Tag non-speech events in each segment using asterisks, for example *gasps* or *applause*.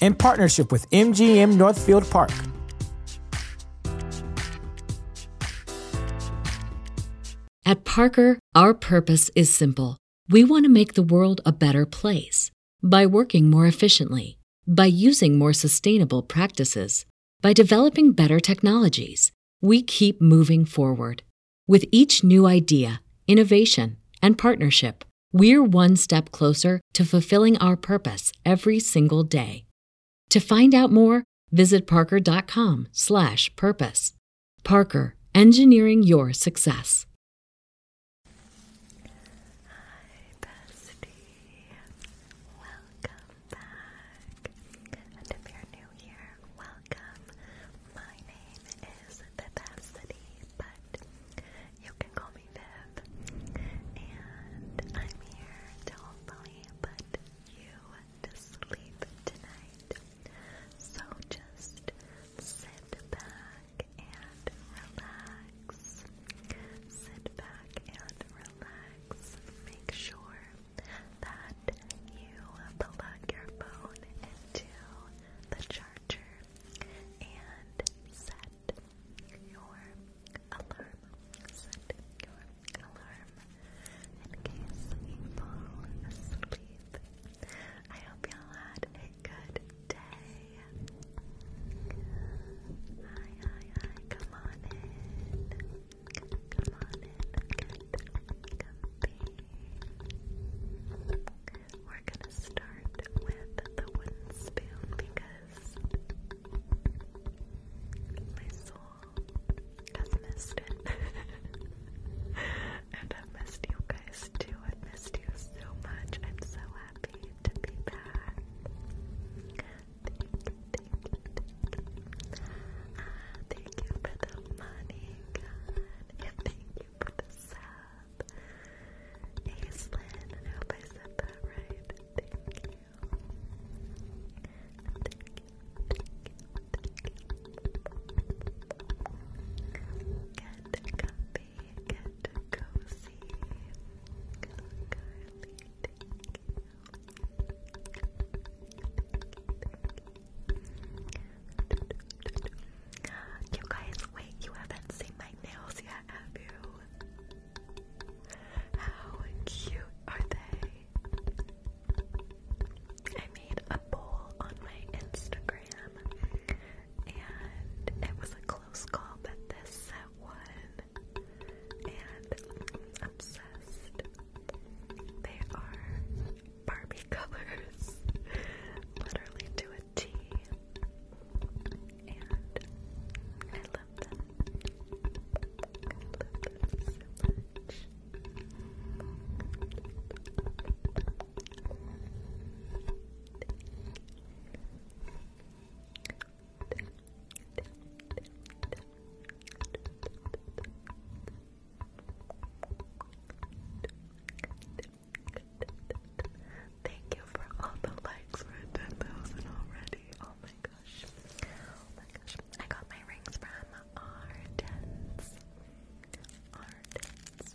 in partnership with MGM Northfield Park. At Parker, our purpose is simple. We want to make the world a better place by working more efficiently, by using more sustainable practices, by developing better technologies. We keep moving forward with each new idea, innovation, and partnership we're one step closer to fulfilling our purpose every single day. To find out more, visit parker.com/purpose. Parker, engineering your success. Hi, bestie. Welcome back. And if you're new here, welcome. My name is Vivacity, but you can call me Viv, and I'm here to hopefully put you to sleep tonight. So just sit back and relax. Sit back and relax. Make sure that you plug your phone into the charger and set your alarm. Set your alarm in case you fall asleep. I hope y'all had a good day. Hi, hi, hi. Come on in. Come on in. Get comfy. We're gonna start with the wooden spoon because my soul has missed it. *laughs* and i missed you guys too. i missed you so much. I'm so happy to be back. Thank you, ah, for the money, And thank you for the sub. Aislinn, I hope I said that right. Thank you. Get comfy, get cozy. You guys, wait, you haven't seen my nails yet, have you? How cute are they? I made a poll on my Instagram and it was a close call, but this set won. And I'm obsessed. They are Barbie *laughs* colors. Literally do it with tea, and I love them. I love them so much. Thank you for all the likes. we 10,000 already. Oh my gosh. Oh my gosh. I got my rings from Ardens. Ardens.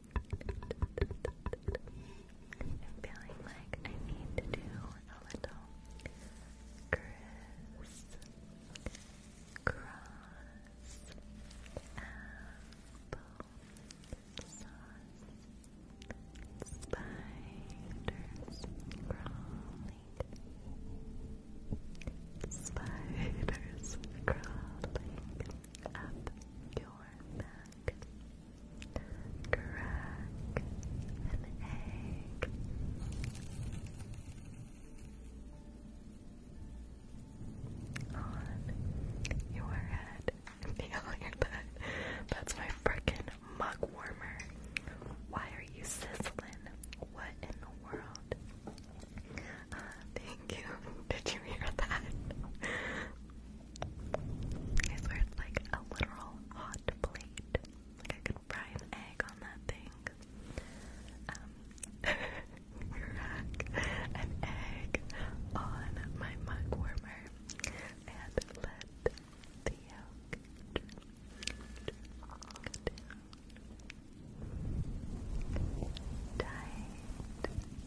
I'm feeling like I need to do a little Cross Apple Spiders Crawling Spiders Crawling Up your back Crack an egg. On your head. Feel your butt. That's my frickin' mug warmer. Why are you sizzling? What in the world? Uh, thank you. *laughs* Did you hear that? I swear it's like a literal hot plate. Like I could fry an egg on that thing. Um, crack an egg on my mug warmer and let the yolk drip, drip, down. Tight,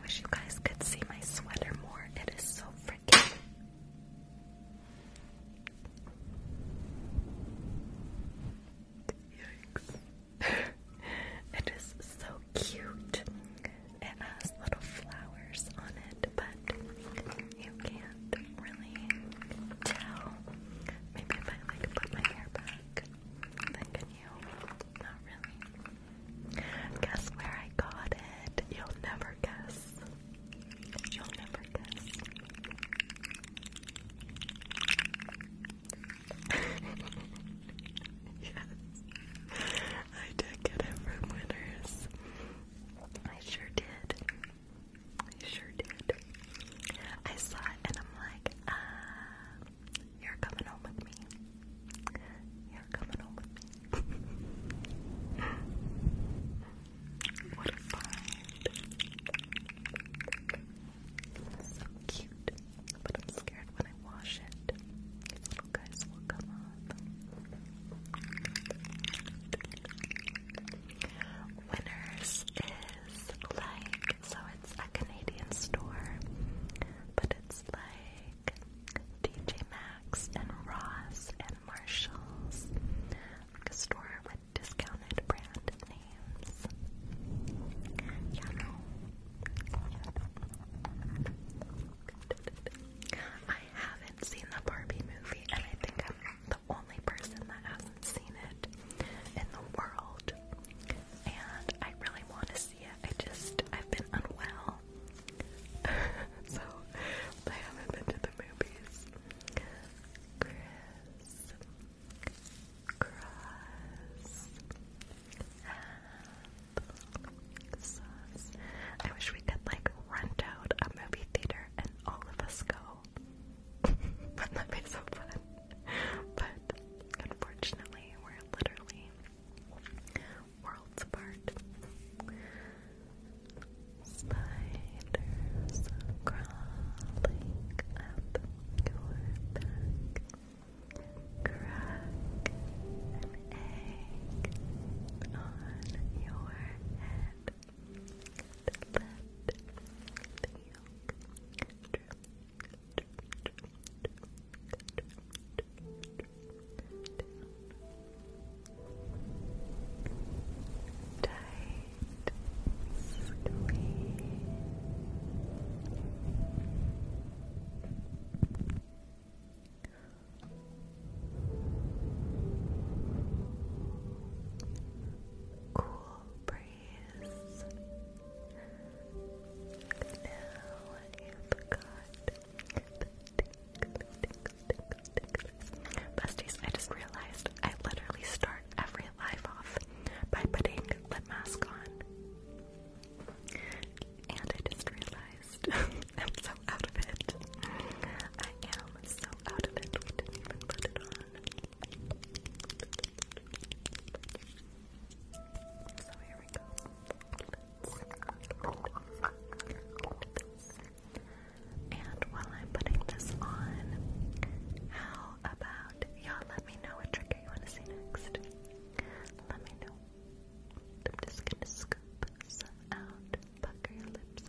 I wish you guys could see my sweater more. It is so freaking. *laughs* it is so cute. It has little flowers on it, but you can't really tell. Maybe if I like put my hair back, then you? Not really. Guess where I got it? You'll never guess. You'll never guess. *laughs* yes. I did get it from Winners. I sure did. I sure did. I saw it and I'm like, ah, you're coming home with me. You're coming home with me. *laughs* what a find. So cute. But I'm scared when I wash it. little guys will come off. Winners is like, so it's a Canadian store, but it's like DJ Maxx and Ross and Marshalls, a store with discounted brand names. Yeah, no. I haven't seen the Barbie movie, and I think I'm the only person that hasn't seen it in the world. And I really want to see yeah, I just, I've been unwell. *laughs* so, I haven't been to the movies. Chris, cross, apple, sauce. I wish we could, like, rent out a movie theater and all of us go. *laughs* Wouldn't that But unfortunately, we're literally worlds apart. Spiders crawling up your back. Crack an egg on your head. the yolk drip, Tight squeeze. Cool breeze. Now you've got Besties, I just realized I literally start every life off by putting lip mask on. And I just realized *laughs* I'm so out of it. I am so out of it. We didn't even put it on. So here we go. And while I'm putting this on, how about y'all let me know what trigger you want to see next? Let me know. I'm just gonna scoop some out, pucker your lips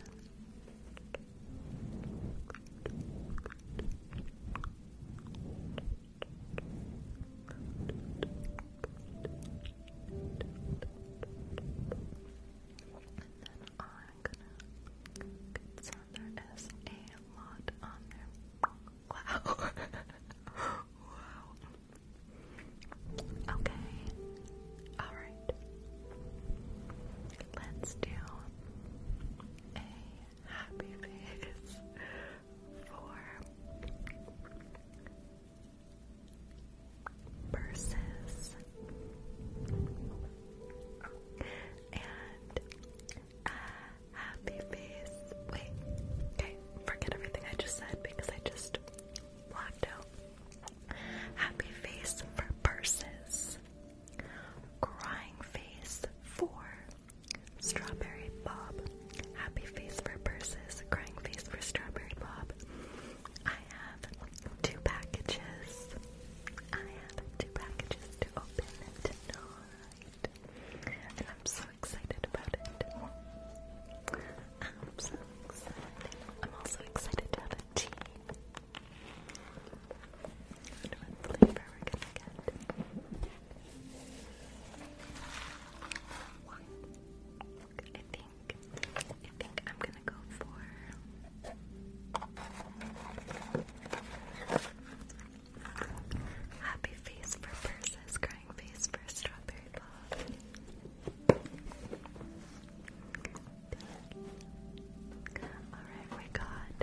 and then I'm gonna concern there is a lot on there. Wow. wow. Okay. Alright. Let's do a happy face for purses and happy face. Wait, okay, forget everything I just said because I just blocked out. Happy face for purses, crying face for strawberry bob. Happy face for purses, crying face for strawberry bob. I have two packages. I have two packages to open tonight. And I'm so excited about it. I'm so excited. I'm also excited to have a tea. I wonder what flavor we're gonna get. I I think I'm gonna go for happy face for purses, crying face for strawberry ball. Alright, we got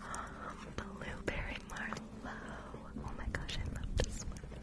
um, *gasps* blueberry marlow. Oh my gosh, I love this one.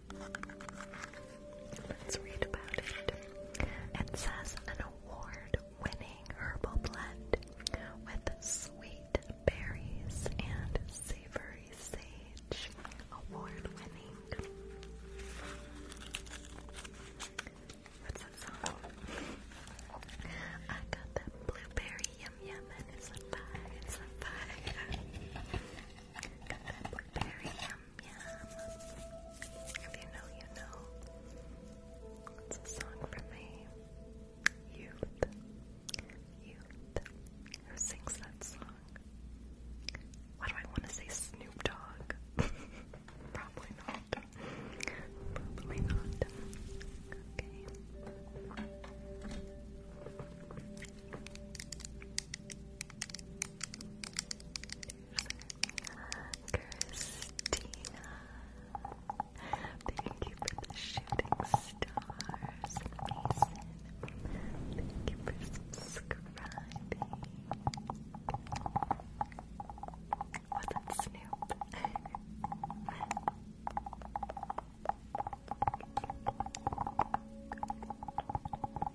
it. says an award winning herbal blend with sweet berries and savory sage. Award winning. What's that song? I got that blueberry yum yum and it's a pie, it's a pie. got that blueberry yum yum. If you know, you know. It's a song from a youth. Youth. Who sings that song? Why do I want to say Snoop Dogg? *laughs* Probably not. Probably not. Okay. Christina. Thank you for the shooting stars. *laughs* Thank you for subscribing. What's that, Snoop?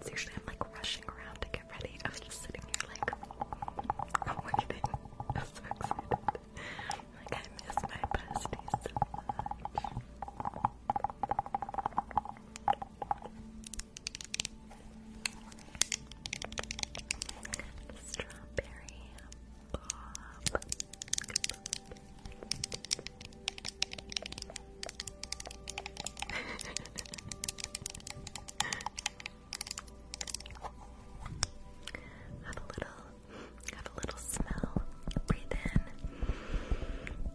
So I'm like rushing around to get ready. I was just sitting here like I'm waiting. *laughs* Like I miss my bestie so much. Strawberry pop have a little, have a little smell. Breathe in,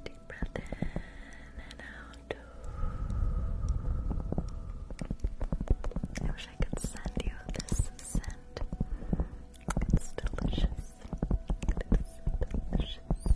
deep breath in and out. I wish I could send you this scent. It's delicious. It is delicious.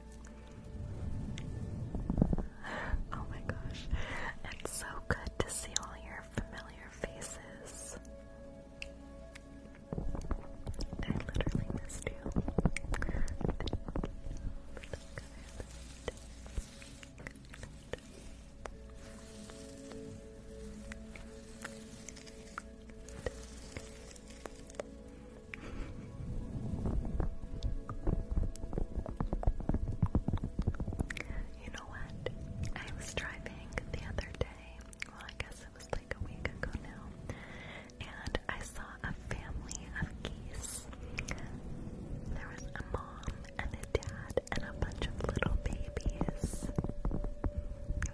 Oh my gosh, it's so good to see all your familiar faces. I literally missed you. You know what? I was driving the other day, well, I guess it was like a week ago now, and I saw a family of geese. There was a mom and a dad and a bunch of little babies.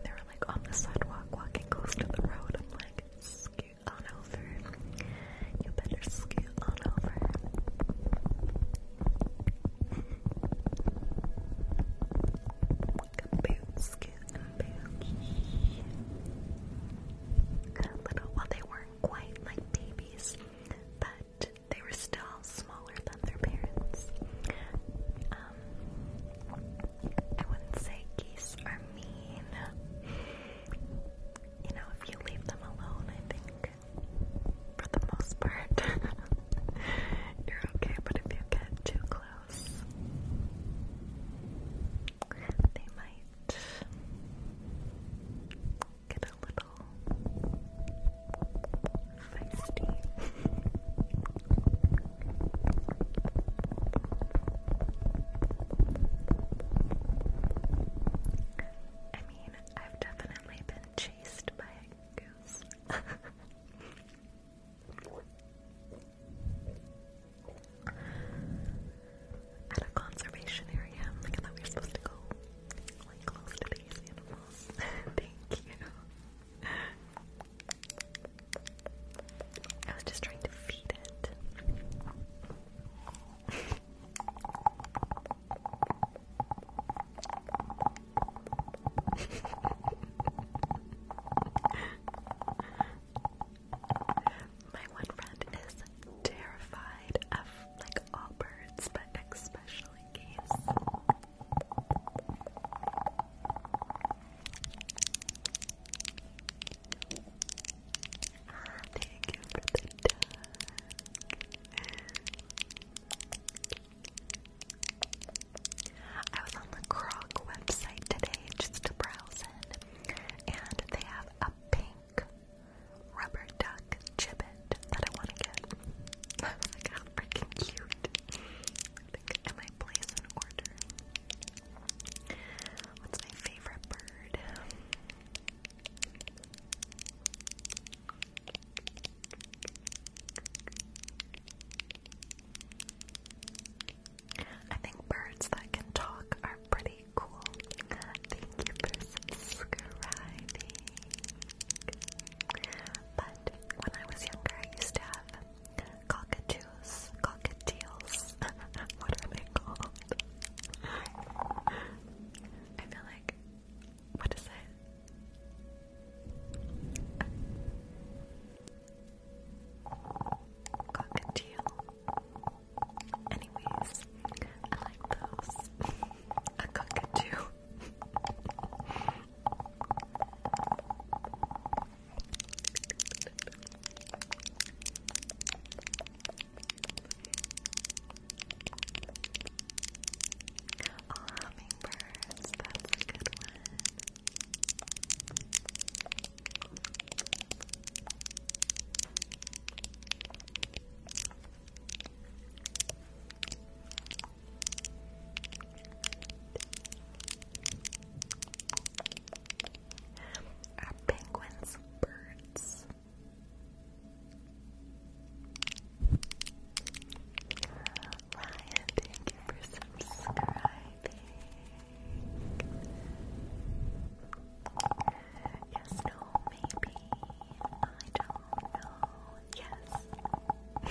They were like on the sidewalk walking close to the road. I'm like, excuse on over. You better scoot on over. scoot, and boom. Good they weren't quite like babies, but they were still smaller than their parents. Um, I wouldn't say geese are mean you know, if you leave them alone, I think for the most part, *laughs* you're okay. But if you get too close, they might get a little feisty. *laughs* I mean, I've definitely been chased by a goose. *laughs* At a conservation area, I thought we were supposed to go like close to these animals. *laughs* I was just trying to feed it. *laughs* My one friend is terrified of like all birds, but especially geese. Thank you for the dog. I was on the Krog website today just to browse in, and they have a pink rubber duck gibbet that I want to get. *laughs* I was like, how freaking cute. I think I might place an order. What's my favorite bird? I think birds that can talk are pretty cool. Thank you for subscribing. But when I was younger, I used to have cockatoos, cockatiels. *laughs* what are they called? *laughs* I feel like what is it? Cockatiel. Anyways, I like those. *laughs* A cockatoo. Oh, hummingbirds, that's a good one. Are penguins birds? Ryan, thank you for subscribing. Yes, no, *laughs* maybe. I don't know. Yes. I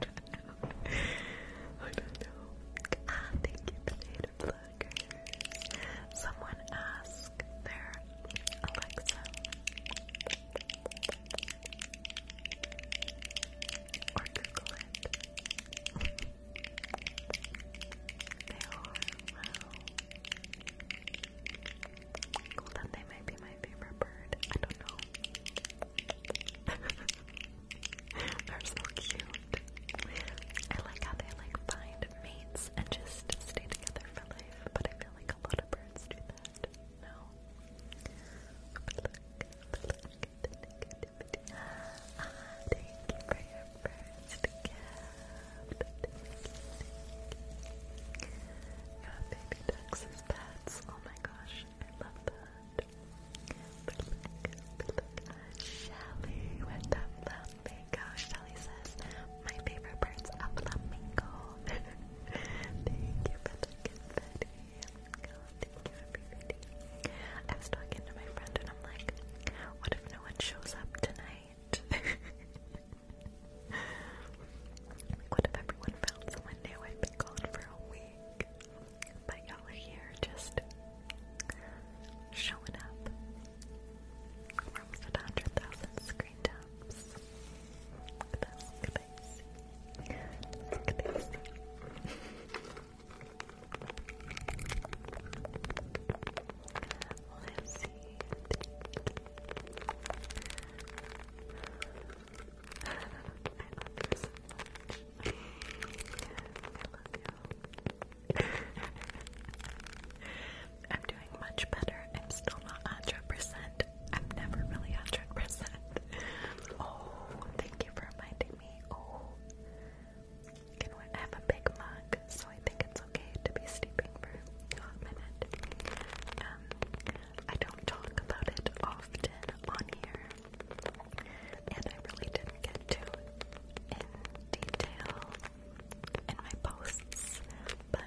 don't know. I don't know. Ah, thank you, Potato Blue triggers. Someone asked their Alexa or Google it. they are wow. Cool, then they might be my favorite bird. I don't know. *laughs* They're so cute. I like how they like find mates and just stay together bird for life, but I feel like a lot of birds do that. No. But look, but look at the negativity. Ah, thank you for your first gift. Thank you, Yeah, baby ducks as pets. Oh my gosh, I love that. But look, but look, Shelly with that love mango. Shelly says, my favorite bird's a flamingo. *laughs* Thank you for the confetti. thank you everybody. I was talking to my friend and I'm like, what if no one shows up tonight? *laughs* what if everyone found someone new? i been gone for a week. But y'all are here just showing up. We're 100,000 screen taps. look at this. Look at this. Let's see. I love you so much. I love you. I'm doing much better. I'm still not 100%. I'm never really 100%. Oh, thank you for reminding me. Oh, can have a big mug? So I think it's okay to be sleeping for a minute. Um, I don't talk about it often on here, and I really didn't get to detail in my posts, but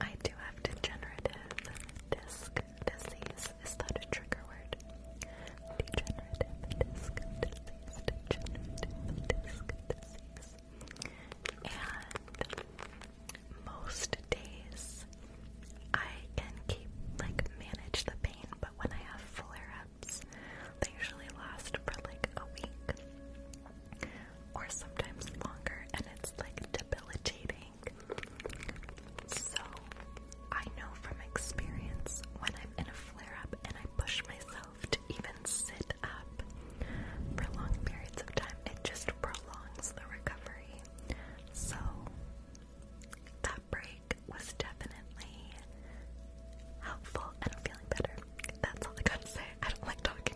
I do have degenerative disc disease. Is that a trigger word? Degenerative disc disease. Degenerative disc disease. And most days I can keep like manage the pain, but when I have flare ups, they usually last for like a week or sometimes longer, and it's like debilitating. So, I know from experience when I'm in a flare up and I push myself to even sit up for long periods of time, it just prolongs the recovery. So, that break was definitely helpful and I'm feeling better. That's all I gotta say. I don't like talking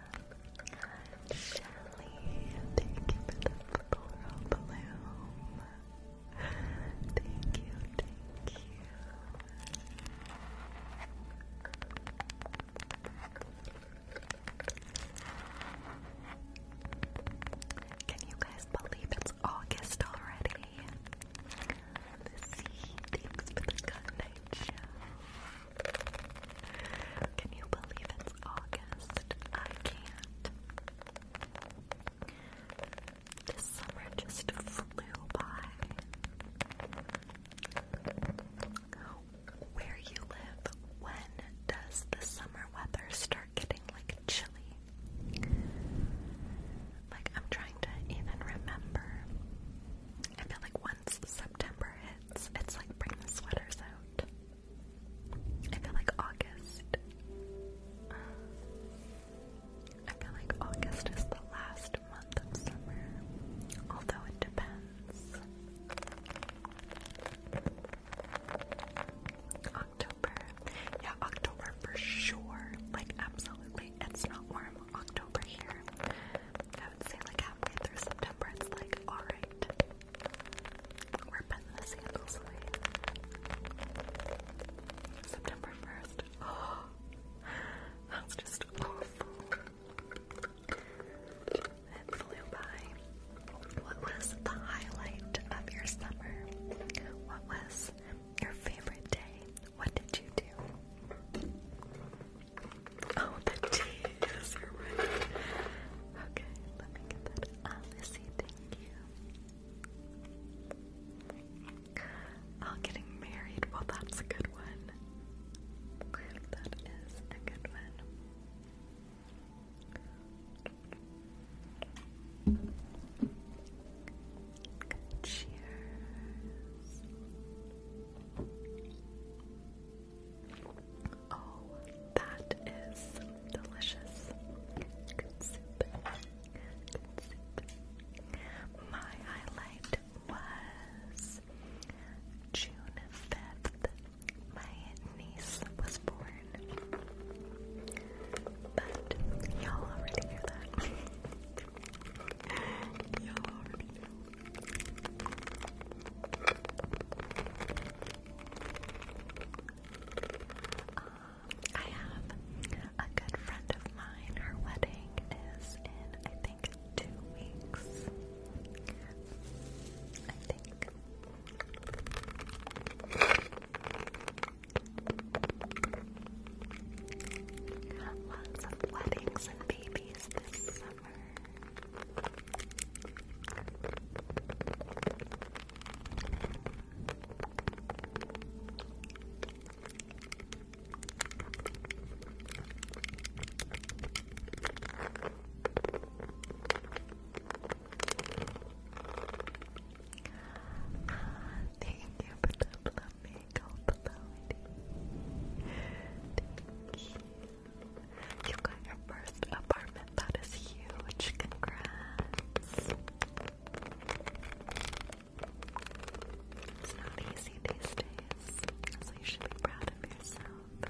I'm Shelly, thank you for the floral bloom. Thank you, thank you. Can you guys believe it's August already? thanks for the good show. Can you believe it's August? I can't. This summer just flew by. Where you live, when does the summer weather start getting like chilly? Like, I'm trying to even remember. I feel like once September hits, it's like bring the sweaters out. I feel like August. I feel like August is the last month of summer, although it depends. October. Yeah, October for sure. Like, absolutely. It's not warm October here. I would say, like, halfway through September, it's like, alright. We're putting the sandals away. September 1st. *gasps* that's just awful. It flew by. What was the highlight of your summer? What was your favorite day? What did you do? Oh, the tea. are right. Okay, let me get that. Alice, thank you. Oh, getting married. Well, that's a good one. That is a good one. Cheers. Oh, that is delicious. My highlight was June 5th. My niece was born. But y'all already hear that. *laughs* y'all already know. I have a good friend of mine. Her wedding is in, I think, two weeks. I think. Lots of weddings and babies this summer. Thank you for the flamingo, oh, Chloe. You got your first apartment. That is huge. Congrats. It's not easy these days, so you should be proud of yourself. I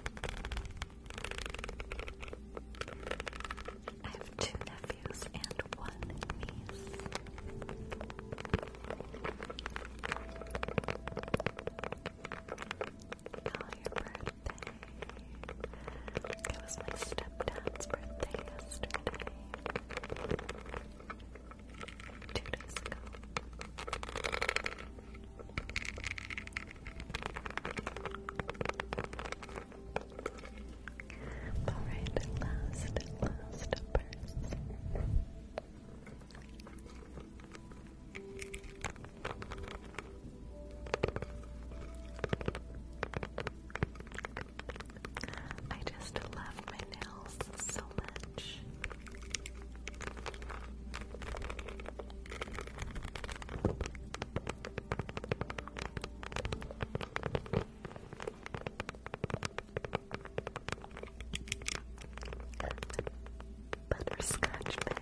have two nephews and one niece. Oh, it was my stepdad's birthday yesterday. Two days ago. Alright, last, last person. I just love my nails so much. Butterscotch bag.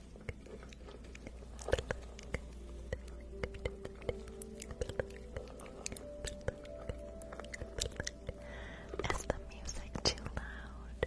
Is the music too loud?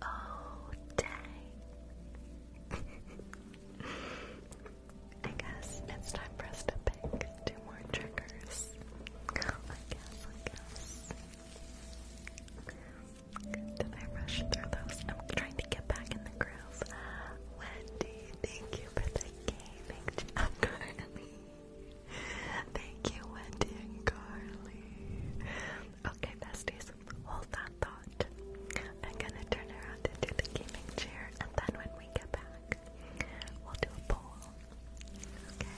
Oh, day. *laughs* I guess it's time for us to pick two more triggers. I guess, I guess. Did I rush through those? I'm trying to get back in the groove. Wendy, thank you for the gaming. *laughs* I'm Thank you, Wendy and Carly. Okay, besties, hold that thought. I'm gonna turn around and do the gaming chair, and then when we get back, we'll do a poll. Okay?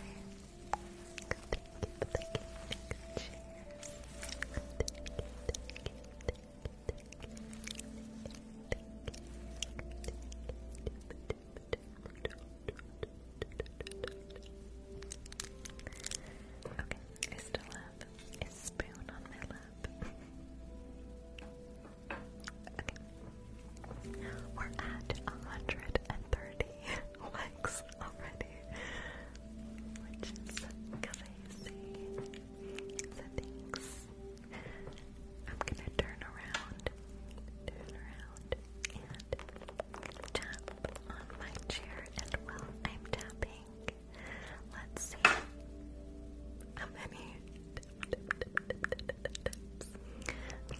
Okay, I still have a spoon on my lap. We're at 130 likes already, which is crazy. thanks I'm gonna turn around, turn around, and tap on my chair. And while I'm tapping, let's see how many tips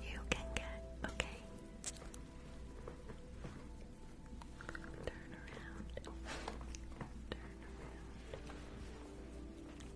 you can get. Okay. Turn around. Turn around.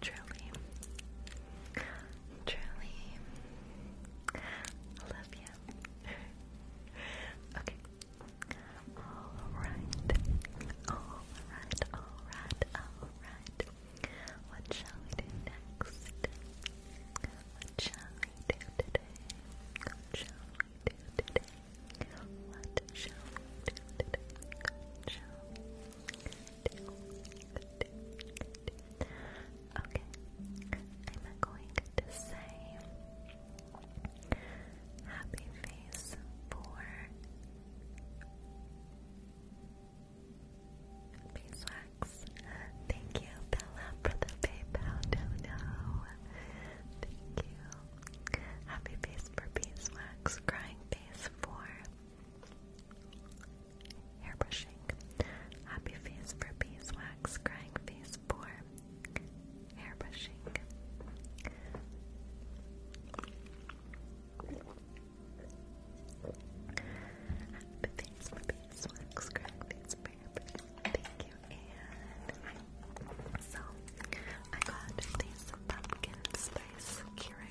Truly. Truly. I love you. *laughs* okay. Alright. Alright, alright, alright. What shall we do next? What shall we do today? What shall we do today? What shall we do today? Okay, I'm going to say happy face for beeswax. Thank you, Bella, for the PayPal dono. Thank you. Happy face for beeswax. Crying face for Airbrushing. Happy face for beeswax, crying face for airbrushing. Happy face for beeswax, crying face for airbrushing. Thank you, Anne. So, I got these pumpkin spice Kira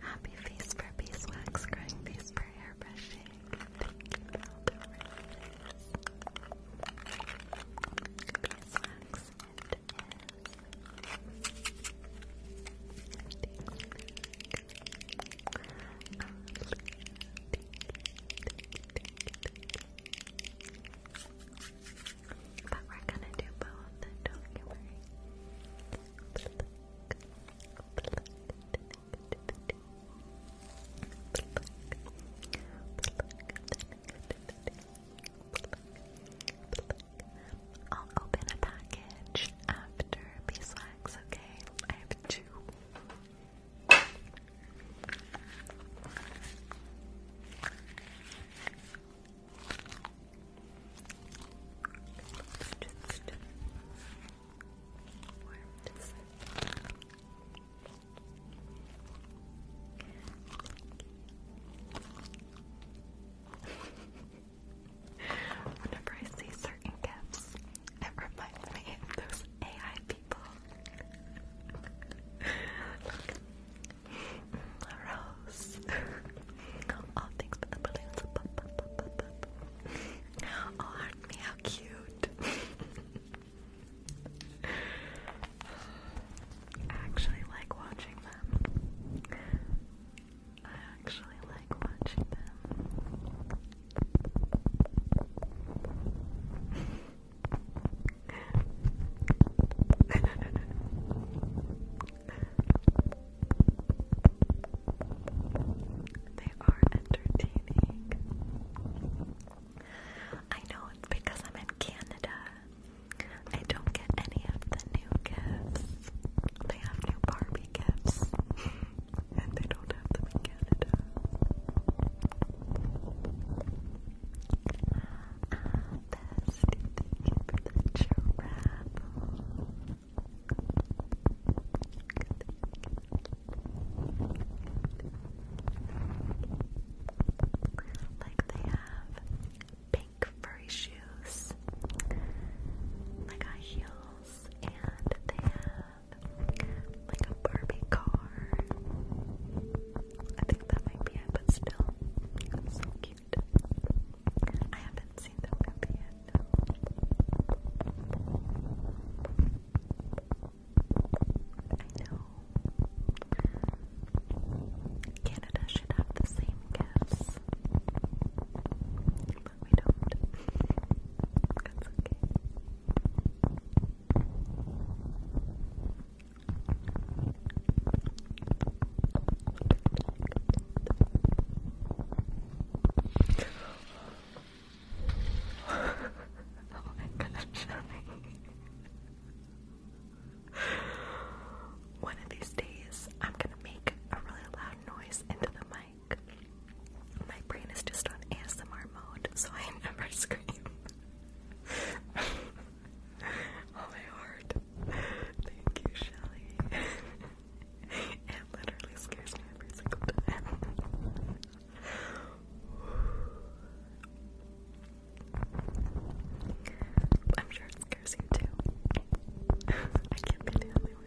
Happy face for beeswax, crying face for hair brushing. But we're gonna do both, don't you worry. I'll open a package after beeswax, okay? I have two. Just warm Whenever I see certain gifts, it reminds me of those AI people. *laughs* Rose. *laughs* All things but the balloons. Oh, aren't me, how cute. *laughs* I actually like watching them. I actually like watching them. *laughs* *laughs* they are entertaining. I know it's because I'm in Canada. I don't get any of the new gifts. They have new Barbie gifts, and they don't have them in Canada. Um, Bestie, thank you for the giraffe. Like they have pink furry shoes, like high heels, and they have like a Barbie car. I think that might be it, but still so I haven't seen the movie yet. I know. Canada should have the same gifts. But we don't. That's okay oh my god, One of these days, I'm gonna make a really loud noise into the mic. My brain is just on ASMR mode, so I *laughs* never scream. *laughs* *laughs* oh my heart. Thank you, Shelly. *laughs* it literally scares me every single time. *laughs* I'm sure it scares you too. I can't be the only one.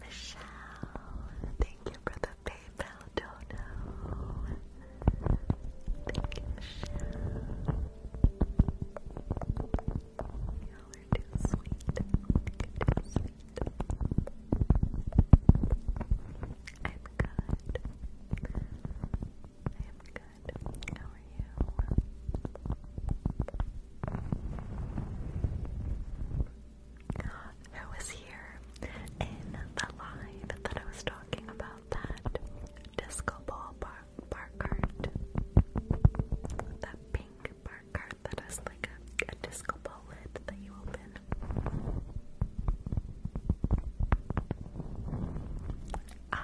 Michelle, thank you for the paper. Baldono. Thank you, Michelle. you are too sweet. you too sweet. I'm good. I am good. How are you? who was here in the live that I was talking about that disco ball bar, bar That pink bar cart that has like a, a disco ball lid that you open. I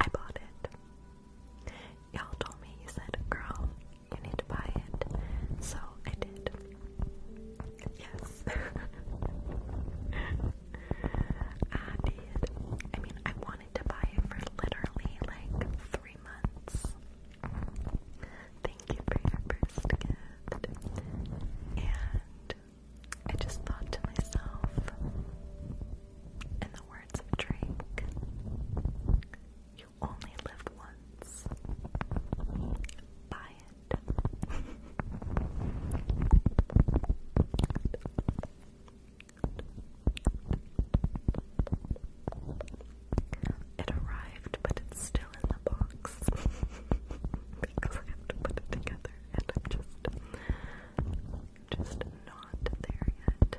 I bought it. Y'all told me you said, "Girl, you need to buy it," so I did. Yes. *laughs* I did. I mean, I wanted to buy it for literally like three months. Thank you for your first gift. And I just thought to myself, in the words of Drake, you only live once. Buy it. It arrived, but it's still in the box *laughs* because I have to put it together, and I'm just, just not there yet.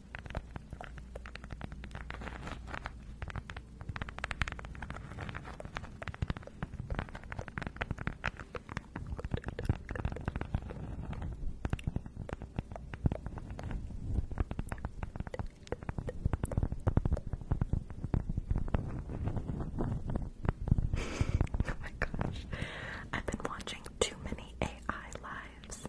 *laughs* oh my gosh. I've been watching too many AI lives.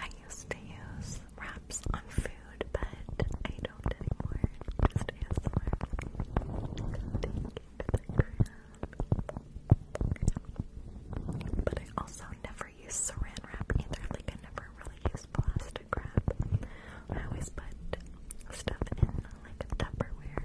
I used to use wraps on food, but I don't anymore. Just ASMR. Thank you But I also never use saran wrap either. Like, I never really use plastic wrap. I always put stuff in like Tupperware.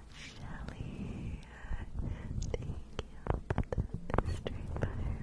Shelly. Thank you the mystery fireworks.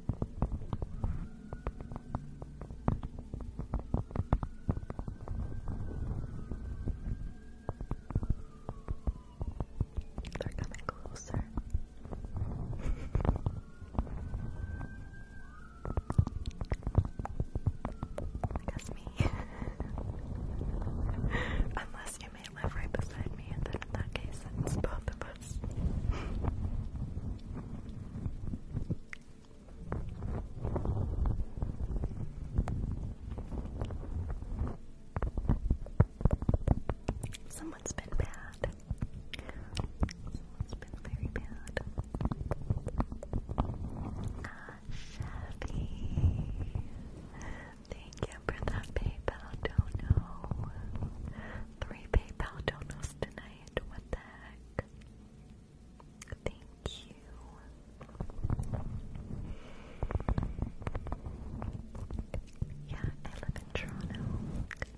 They're coming closer. Guess me. *laughs* Unless you may live right beside me, and then in that case, it's both of us. Someone's been bad. Someone's been very bad. Ah, Chevy. Thank you for that PayPal dono. Three PayPal donos tonight. What the heck? Thank you. Yeah, I live in Toronto,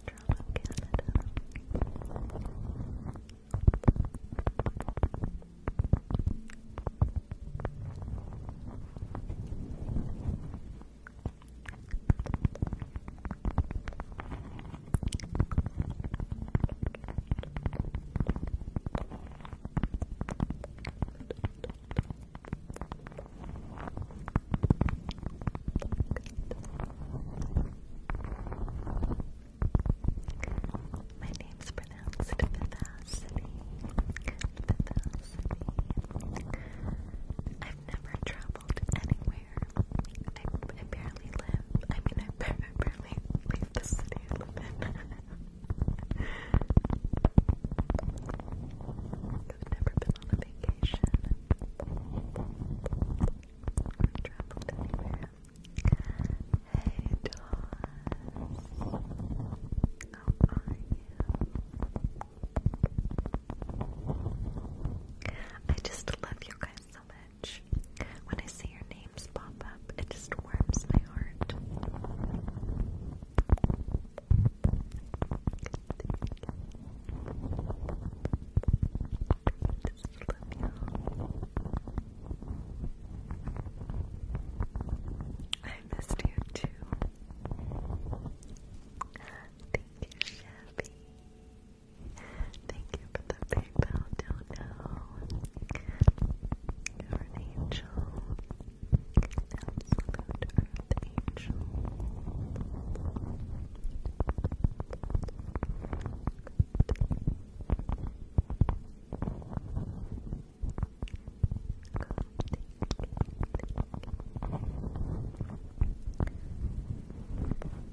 Toronto, Canada. My name's pronounced Vivacity. Vivacity. I've never traveled anywhere I, I barely live. I mean, I barely, *laughs* leave the city I have *laughs* never been on a vacation. I traveled anywhere. Hey, Doss. How are you? I just love you guys so much. When I see your names pop up, it just warms my heart. I missed you too. Thank you, Chevy. Thank you for the PayPal dono. You're an angel. Absolute earth angel. Good.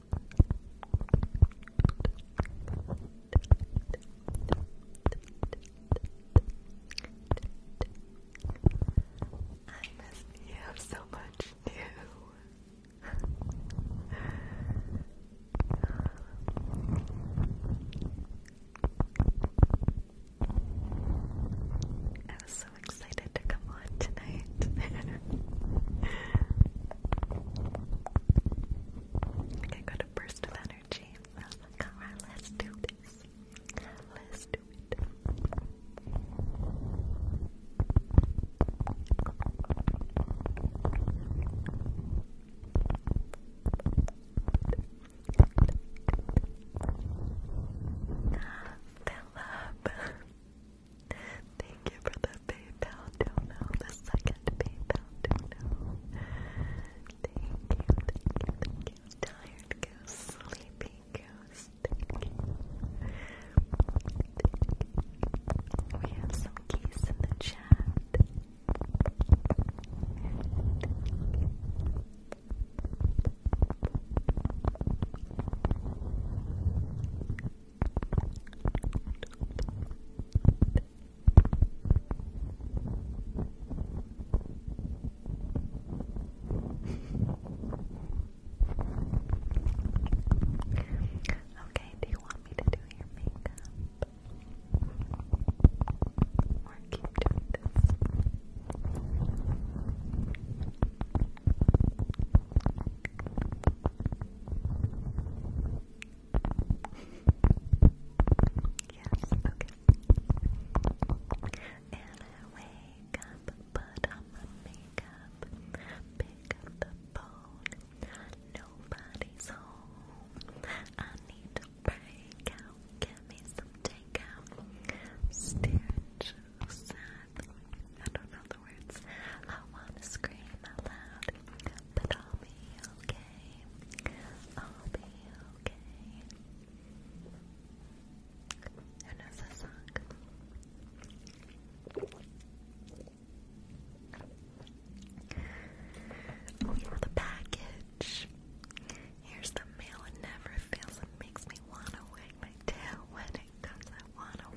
I miss you so much *laughs* I was so excited to come on tonight. *laughs* I got a burst of energy. I was like, alright, let's do this. Let's do it. Philip. Thank you for the PayPal dono, the second PayPal dono. Thank you, thank you, Tired goose, sleepy goose, thank you. We have some keys in the chat okay, do you want me to do your makeup? Or keep doing this? Yes, okay. And I wake up, put on my makeup, pick up the phone. Nobody's home. I need to break out, get me some takeout. Stare sad. I don't know the words. I wanna scream out loud. But I'll be okay. I'll be okay. And as song. Oh the package. Here's the mail. It never fails. It makes me wanna wag my tail when it comes. I wanna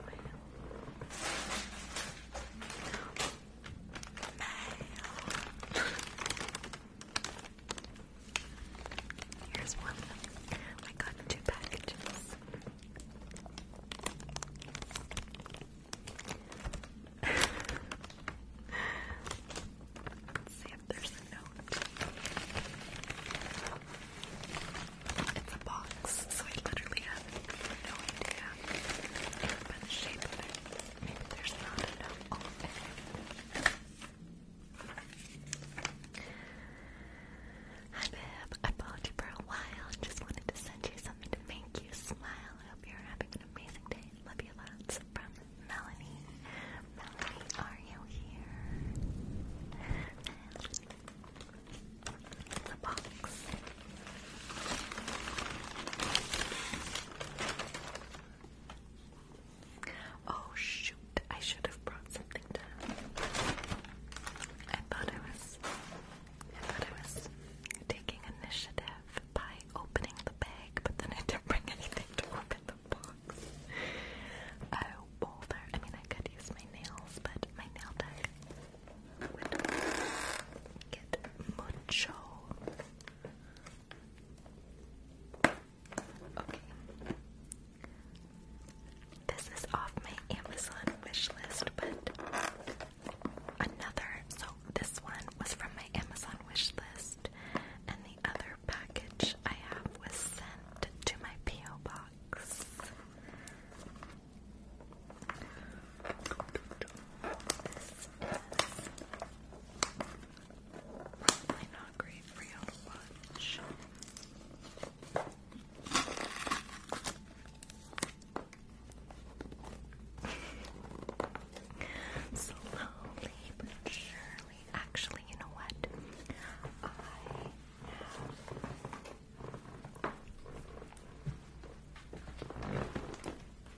wail. Here's one. I got two packages. *laughs* Let's see if there's a note. It's a box, so I literally have no idea Hi babe, I followed you for a while just wanted to send you something to make you smile. I hope you're having an amazing day. Love you lots from Melanie. Melanie, are you here? the box. Oh shoot, I should have brought something down. I thought I was I thought I was taking initiative by opening the bag, but then I didn't bring anything to open the box. Oh bother. I mean I could use my nails, but my nail deck Get mucho. Okay. This is off my Amazon wish list, but another. So this one was from my Amazon wish list, and the other package I have was sent to my PO box. Probably not great for you *laughs* Slowly but surely. Actually, you know what? A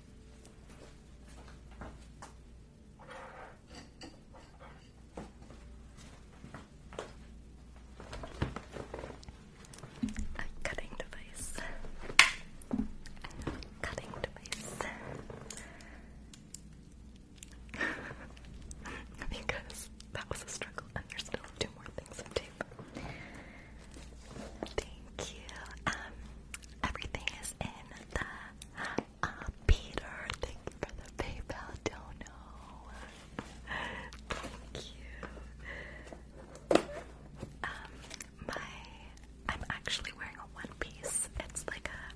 cutting device. cutting device. *laughs* because that was a struggle, and there's still two more things of tape. Thank you. Um, everything is in the uh, Peter. Thank you for the PayPal dono. Thank you. Um, my I'm actually wearing a one piece. It's like a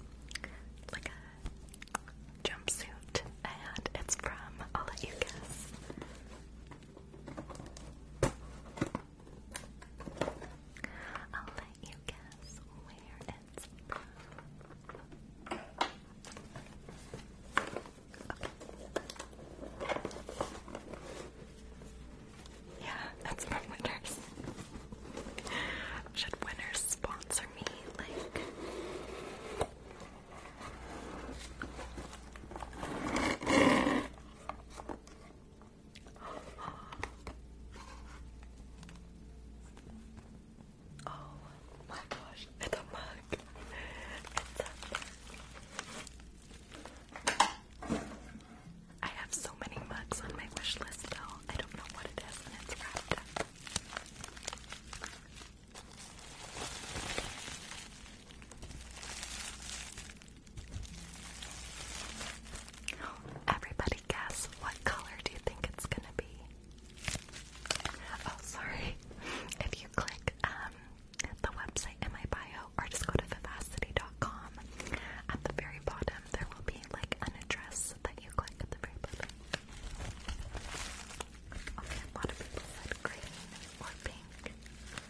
like a jumpsuit, and it's from. I'll let you guess. I'll let you guess where it's from. Yeah, that's from Winners. Should Winners sponsor me? Like. Oh my gosh, it's a mug. I have so many mugs on my wish list though. I don't know what it is and it's wrapped *gasps* Everybody guess what color do you think it's gonna be? Oh, sorry. *laughs* If you click um, the website in my bio or just go to vivacity.com, at the very bottom there will be like an address that you click at the very bottom. Okay, a lot of people said green or pink.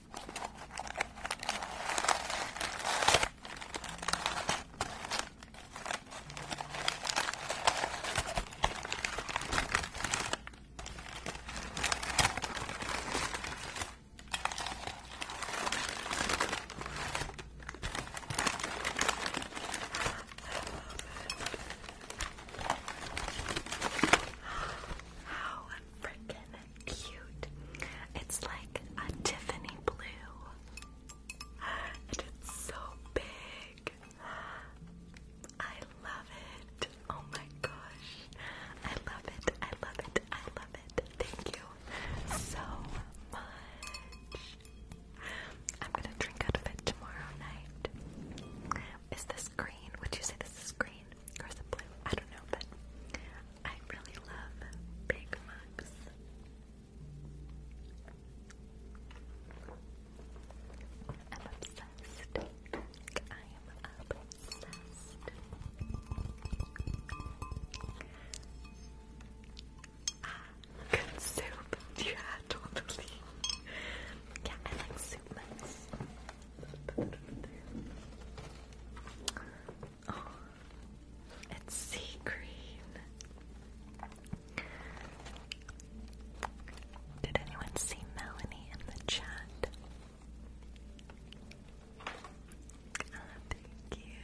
How freaking cute. It's like a Tiffany blue, and it's so big. I love it. Oh my gosh. I love it. I love it. I love it. Thank you so much. I'm gonna drink out of it tomorrow night. Is this green? Would you say this is green? Or is it blue? I don't know, but I really love big mugs. I'm obsessed. I am obsessed. Ah, good soup. *laughs* Yeah, totally. Yeah, I like soup mugs. Oh, it's sea green. Did anyone see Melanie in the chat? Ah, thank you.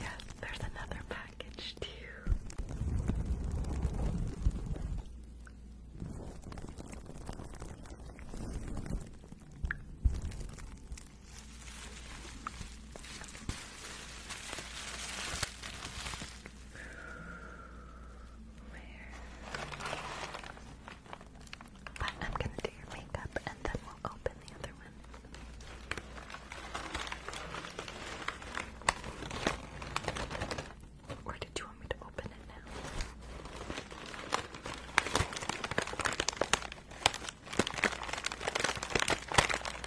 Yes, there's another package too. Where? But I'm gonna do your makeup and then we'll open the other one. Or did you want me to open it now? I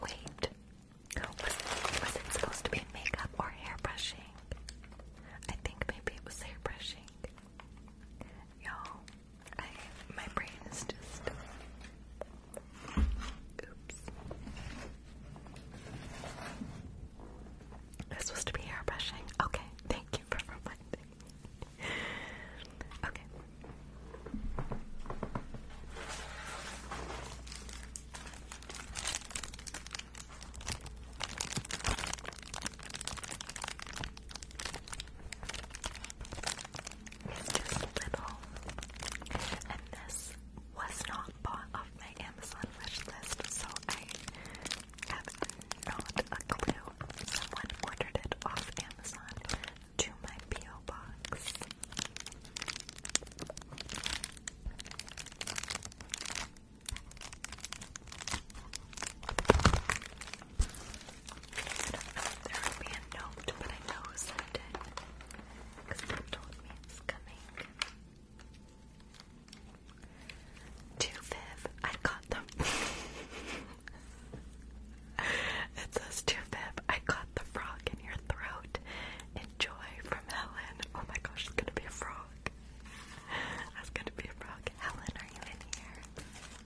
wait. was, it, supposed to be makeup or hair brushing? I think maybe it was hair brushing. you my brain is just. Oops. This was to be airbrushing. Okay, thank you for reminding me. Okay just little. And this was not bought off my Amazon wish list, so I have not a clue. Someone ordered it off Amazon to my P.O. box. I there will be a note, but I know who sent it. Because they told me it's coming. Two Viv. I got them. it says two Viv. I got the frog in your throat. Enjoy from Helen. Oh my gosh, it's gonna be a frog. That's gonna be a frog. Helen, are you in here?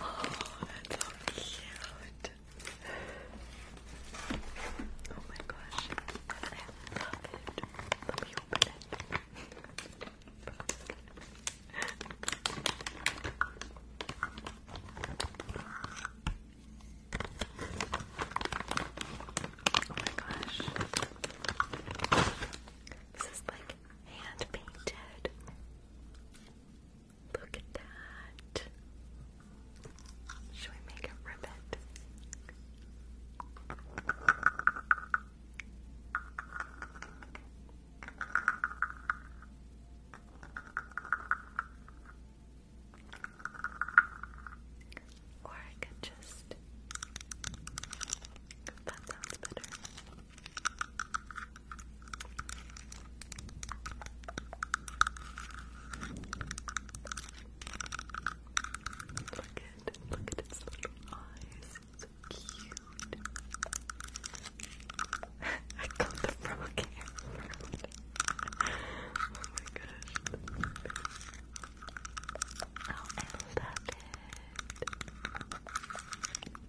Oh, that's so cute. Oh my gosh. I love it. Let me open it. Oh my gosh. This is like hand painted. Look at that. Should we make a ribbon? Or I could just. That sounds better. Look at, look at its little eyes. so cute. *laughs* I got the frog hair. *laughs* oh my gosh. I love it.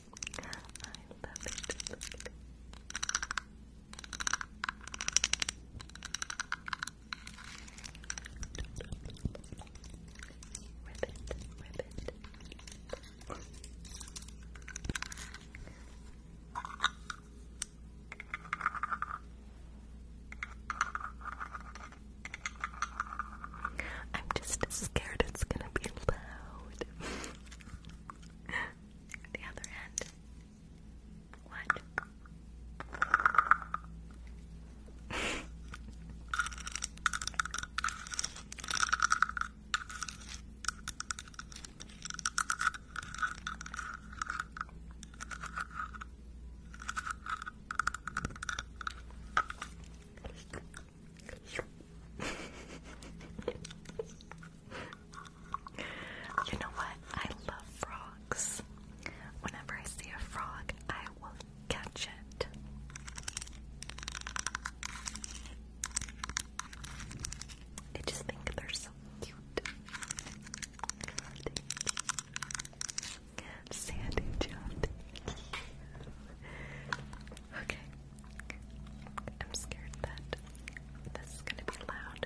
I love it. Look. Ribbit, I'm just scared it's gonna be loud. *laughs* the other end. What? you know what? I love frogs. Whenever I see a frog, I will catch it. I just think they're so cute. Sandy Jeff, Okay. I'm scared that this is gonna be loud.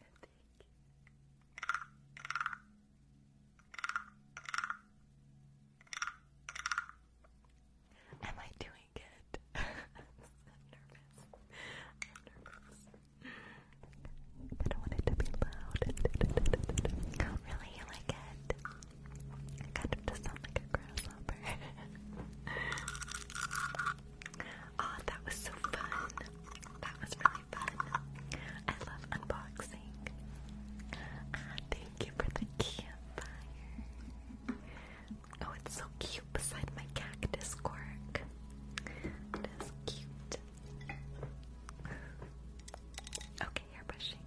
thank you. Am I doing good? *laughs* I'm nervous. I'm nervous. I do not want it to be loud. *laughs* really, you like it? I kind of just sound like a grasshopper. oh, *laughs* that was so fun. That was really I love unboxing. thank you for the campfire. Oh, it's so cute beside my cactus cork. It is cute. Okay, hair brushing.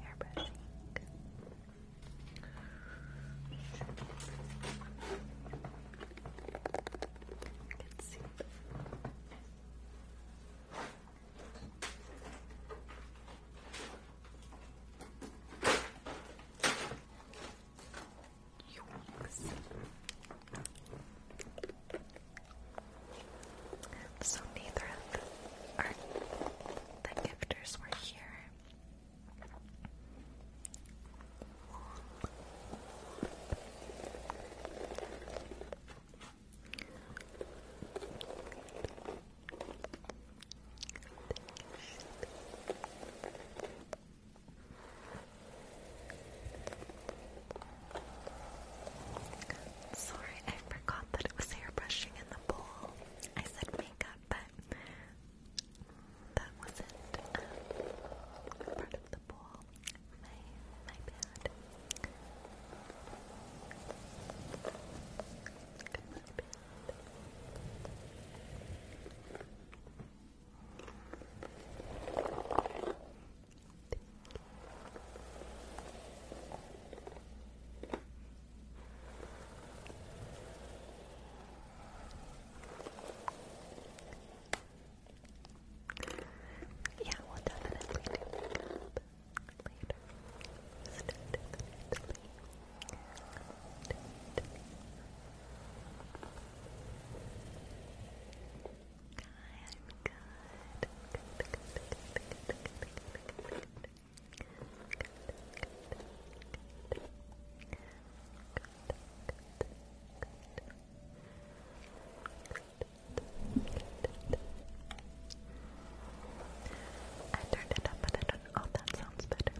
Hair brushing. Good soup. So neither the gifters were here Sorry, I forgot that it was hair brushing in the bowl. I said makeup, but that wasn't um, part of the ball. My, my bad. My bad. Thank you. Yeah, we'll definitely do that later. I'm good. I turned it up, but I don't. Oh, that sounds better.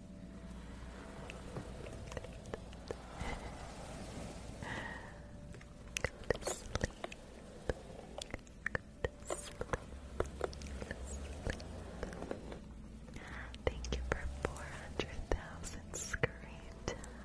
Go to sleep. Go to sleep. Thank you for 400,000 screen time.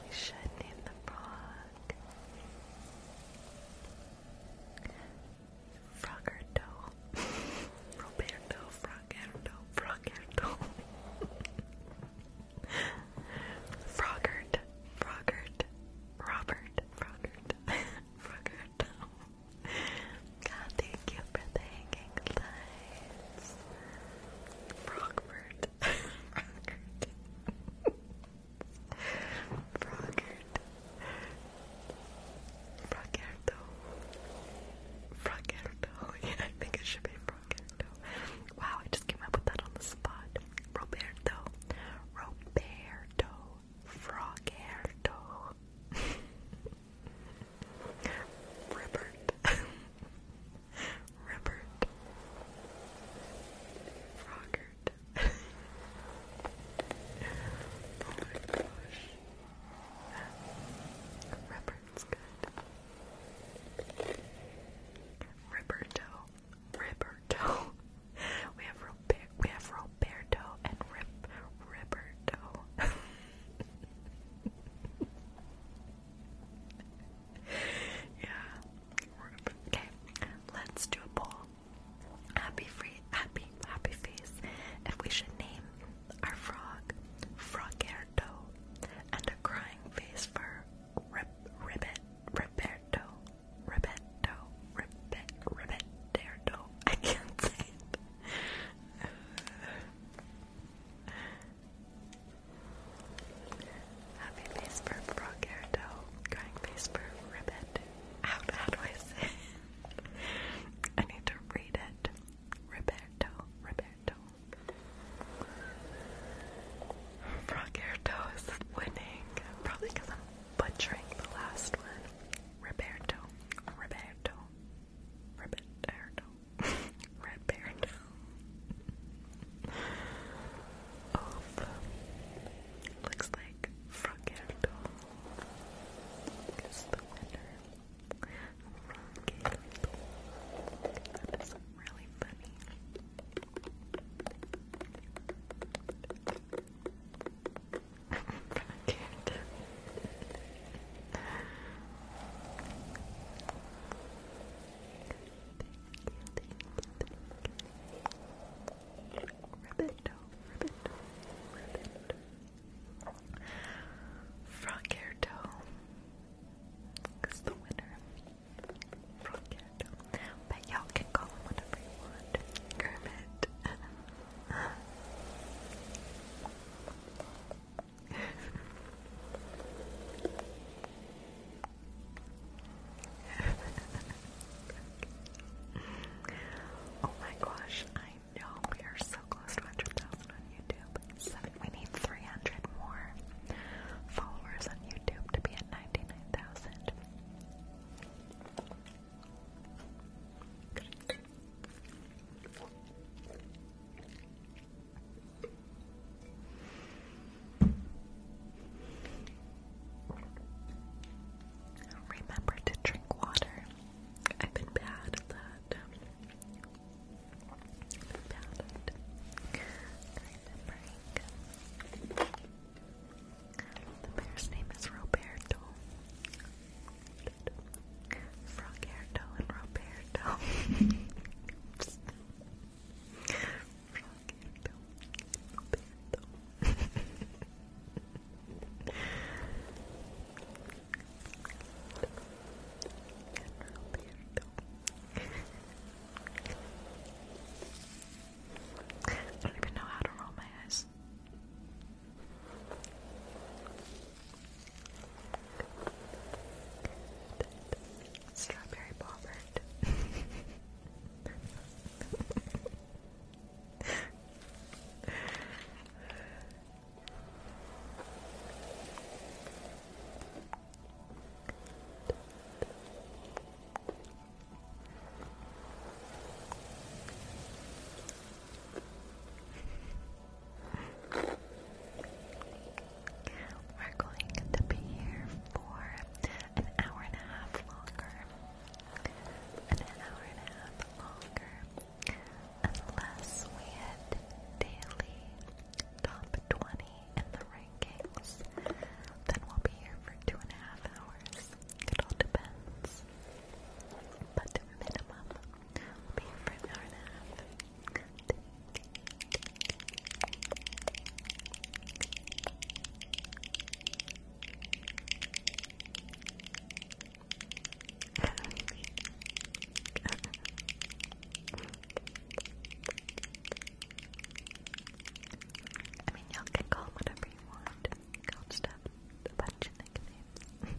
We should name the frog. Frogerto. Roberto Frogerto. Frogerto. Frogert. Frogert. Robert. Frogert. *laughs* Frogert. God, ah, thank you for hanging lights. Frogford. Frogert. Frogerto. Frogerto. Yeah, I think it should be Frogerto. Wow, I just came up with that on the spot. Roberto. *laughs* Roberto. Frogerto. Rupert. Robert Froggert. oh my gosh. Robert's good. Roberto. Roberto. We have Robert we have Roberto and Rip Roberto. *laughs* yeah. Okay, let's do a poll. Happy free, happy, happy face. If we should name our frog Frogerto and a crying face for Rib Ribbit, Riberto, Ribeto, Ribbit, Ribeterto. I can't say Happy face for Brogerto, crying face for Ribbit. How, how do I it? *laughs* I need to read it. Roberto, Roberto. Brogerto is winning, probably because I'm butchering the last one. Roberto, Roberto, Roberto, *laughs* Roberto. Oh, looks like Fragildo is the winner. Fragildo. That is really funny. Fragildo thank you. Ribbit, ribbit, ribbit. the winner. Frockerto. But y'all can call him whatever you want. Kermit. *laughs* *laughs* oh my gosh, I know we are so close to 100,000 on YouTube. we need 300 more followers on YouTube to be at 99,000. Remember to drink water. I've been bad at that. The bear's name is Roberto. Frogerto and Roberto. *laughs* I don't even know how to roll my eyes. Strawberry Bobbert. *laughs* We're going to be here for an hour and a half longer. An hour and a half longer. Unless we hit daily top 20 in the rankings, then we'll be here for two and a half hours. It all depends. But minimum, we'll be here for an hour and a half. I mean, y'all can call whatever you want. Call stuff a bunch of nicknames.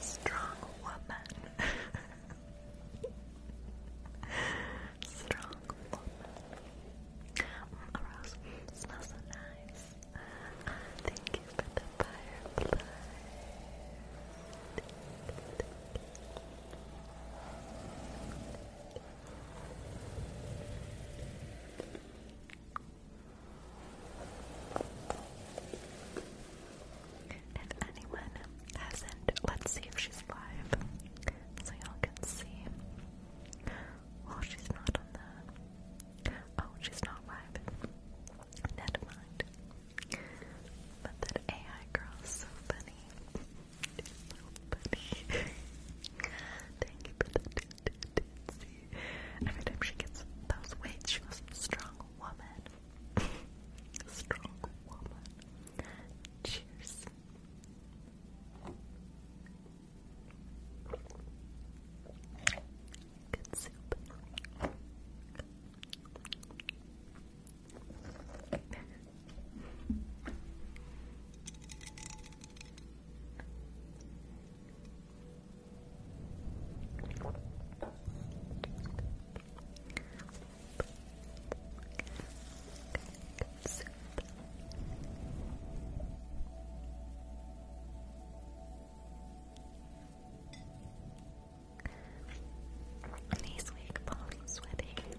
Strong woman. Strong woman. Mm, smells so nice. thank you for the firefly. If anyone hasn't, let's see if she's live so y'all can see. Well, she's not on the. Oh, she's not live. Never But that AI girl is so funny. Every time she gets those weights, she goes, strong woman. strong woman. Cheers. Good soup. Nice wig, Polly's wedding.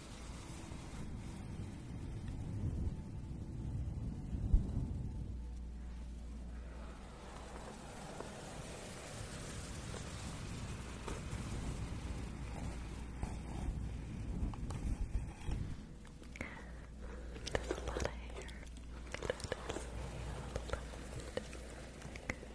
There's a lot of hair. Good. Good.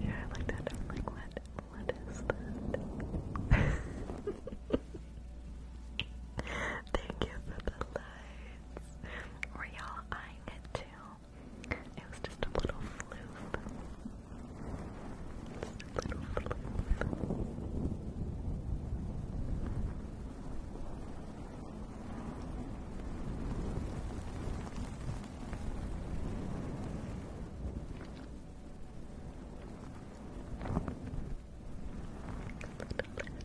yeah, I like that. like, what? What is *laughs* that? Thank you for the light. Were y'all eyeing it too? It was just a little floof. Just a little floof.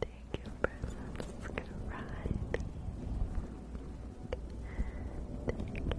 thank you for subscribing. Thank you. Thank you.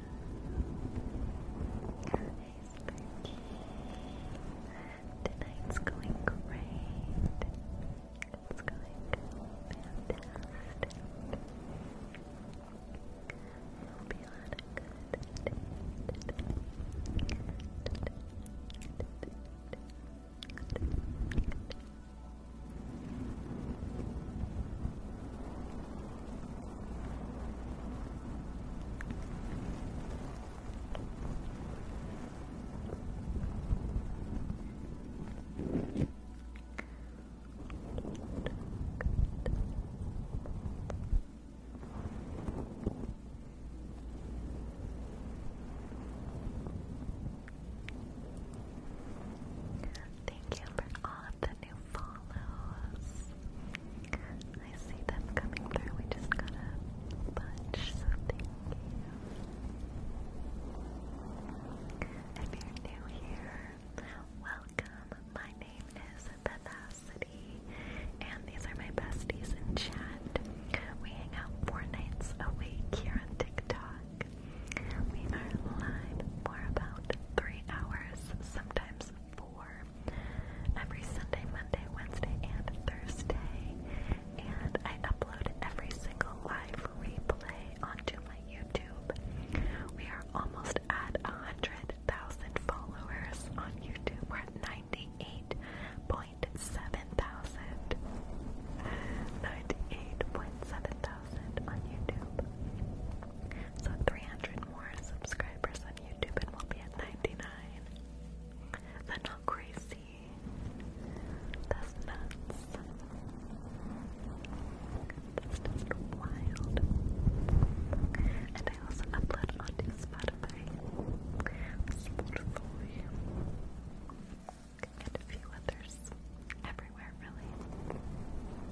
guys, Perky. Tonight's going great. It's going fantastic. Hope you had a Thank you for all love the new follows. I see them coming through. We just got a bunch, so thank you. If you're new here, welcome. My name is Vivacity, and these are my besties in chat. We hang out four nights a week here on TikTok. We are live for about three hours, sometimes every Sunday, Monday, Wednesday, and Thursday. And I upload every single live replay onto my YouTube. We are almost at 100,000 followers on YouTube. We're at 98.7 thousand. 98.7 thousand on YouTube. So 300 more subscribers subscribers on YouTube and will be at 99. they not crazy. That's nuts. That's just wild. And I also upload onto Spotify. Spotify. And a few others. Everywhere, really.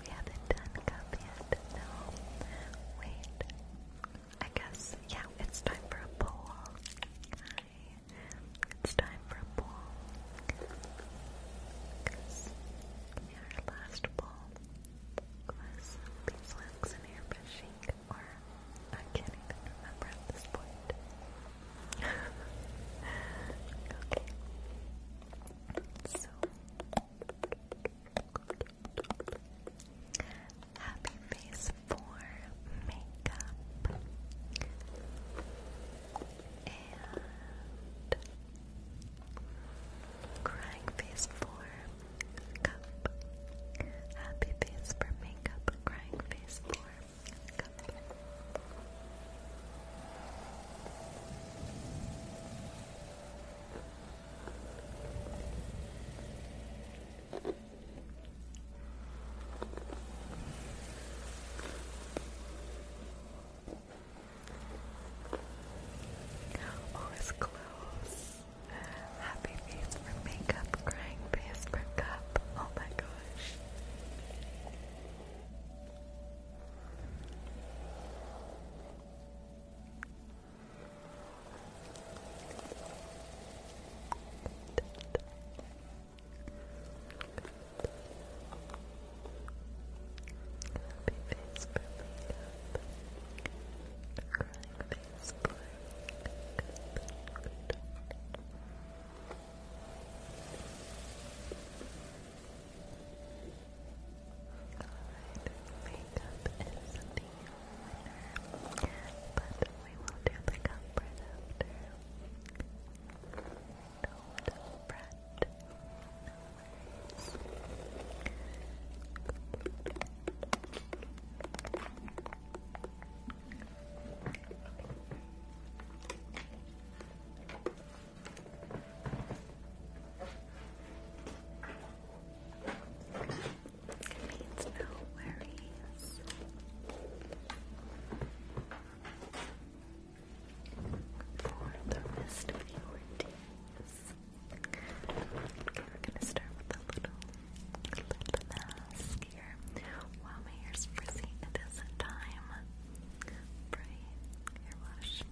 We haven't done cup yet. No. Wait. I guess, yeah, it's time for a poll. It's time for a ball. our last ball was beeswax and airbrushing, or I can't even remember at this point. *laughs* okay. So. Happy face for makeup and crying face for cup, happy face for makeup, crying face for cup. Oh, it's close. Happy face for makeup, crying face for cup. Oh my gosh face for Crying face for Alright, makeup is the winner, but we will do the comfort after no, don't No worries. no worries for the rest of your days. Okay, we're gonna start with a little lip mask here. Wow, my hair's frizzy. It is time for a hair wash.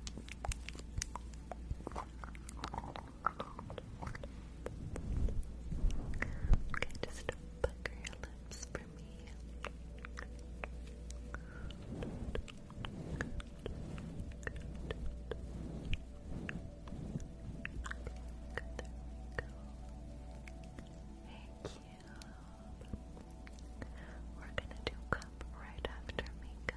Okay, just pucker your lips Thank you. We're gonna do cup right after makeup.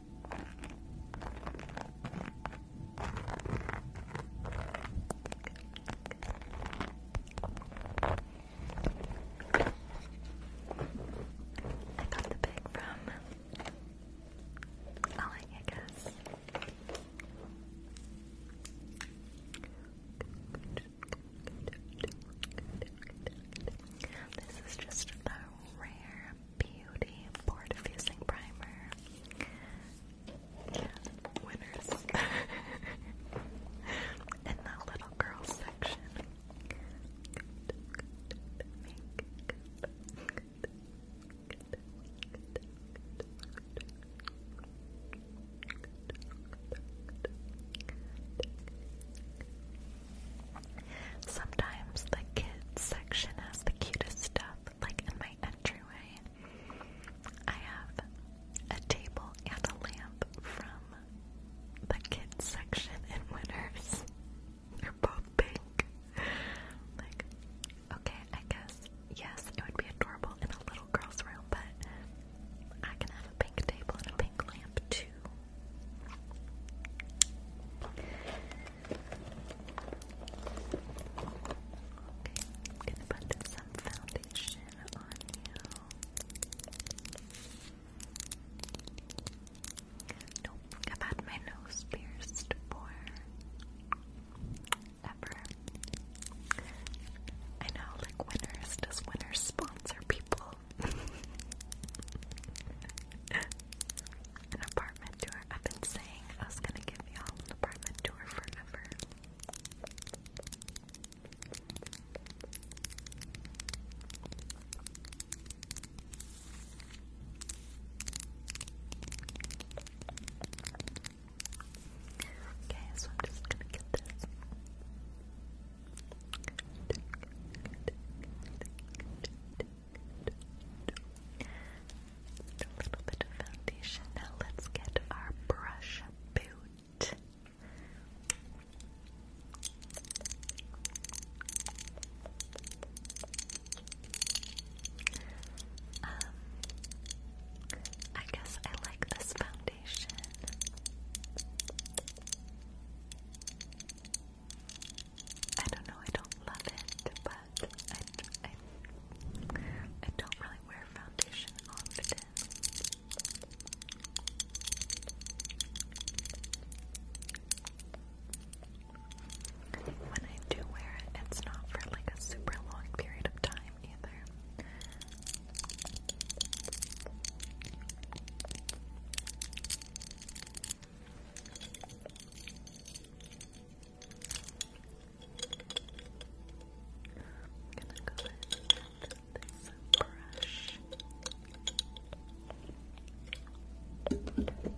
I got the bag from Alec, I guess. This is just the rare Beauty Pore Diffusing Primer. winners. *laughs* In the little girl section. Sometimes the kids section has the cutest stuff like in my entryway, I have a table and a lamp from the kids section in Winners. They're both pink. Like, okay, I guess, yes, it would be adorable in a little girl's room, but I can have a pink table and a pink lamp too. Okay, I'm gonna put some foundation on you. Nope, I've had my nose pierced for ever. I know, like winners, does winners sponsor people? and *laughs* apart apartment tour. I've been saying I was gonna give y'all an apartment tour forever. Okay, so I'm just gonna get this. A little bit of foundation. let's get our brush boot. Um, I guess I like this foundation. I don't know, I don't love it, but I, I, don't really wear foundation often. When I do wear it, it's not for like a super long period of time either gonna go ahead and this brush. Good, yeah. Okay.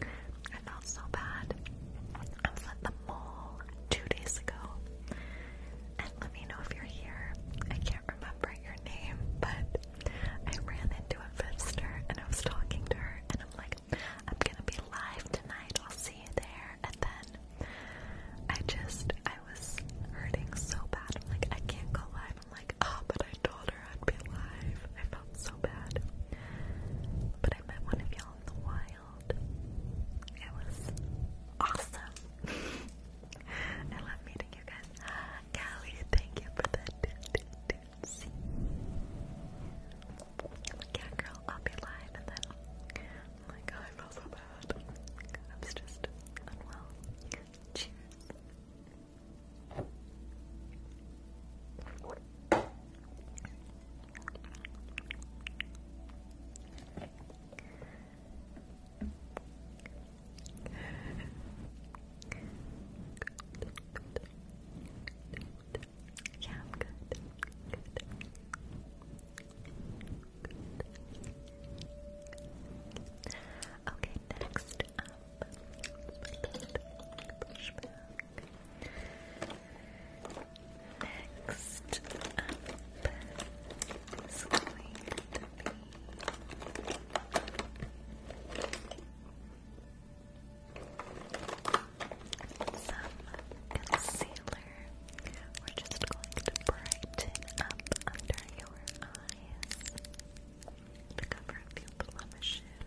I felt so bad. I was at the mall two days ago. And let me know if you're here. I can't remember your name, but I ran into a visitor and I was talking to her, and I'm like, I'm gonna be live tonight. I'll see you there. And then I just, I was hurting so bad. I'm like, I can't go live I'm like, ah, oh, but I told her I'd be alive. I felt so bad. But I met one of y'all in the wild. It was awesome. *laughs* I love meeting you guys. *gasps* Callie, thank you for that. See? Yeah, girl, I'll be live and then I'm oh I feel so bad. I was just unwell. Cheers. Yeah, I'm good. Okay, next uh, Push back. Next up is going to be some concealer. We're just going to brighten up under your eyes to cover a few blemishes.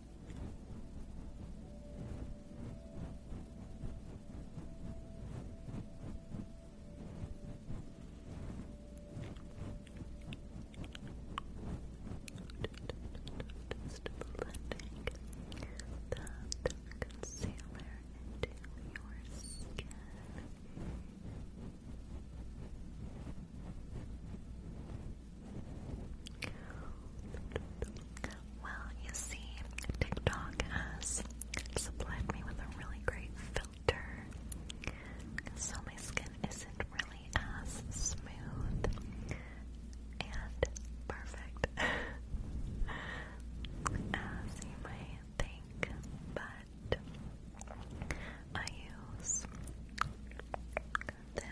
Just blending that concealer into your skin. Well, you see, TikTok has supplied me with a really great filter, so my skin isn't really as smooth and perfect *laughs* as you might think, but I use this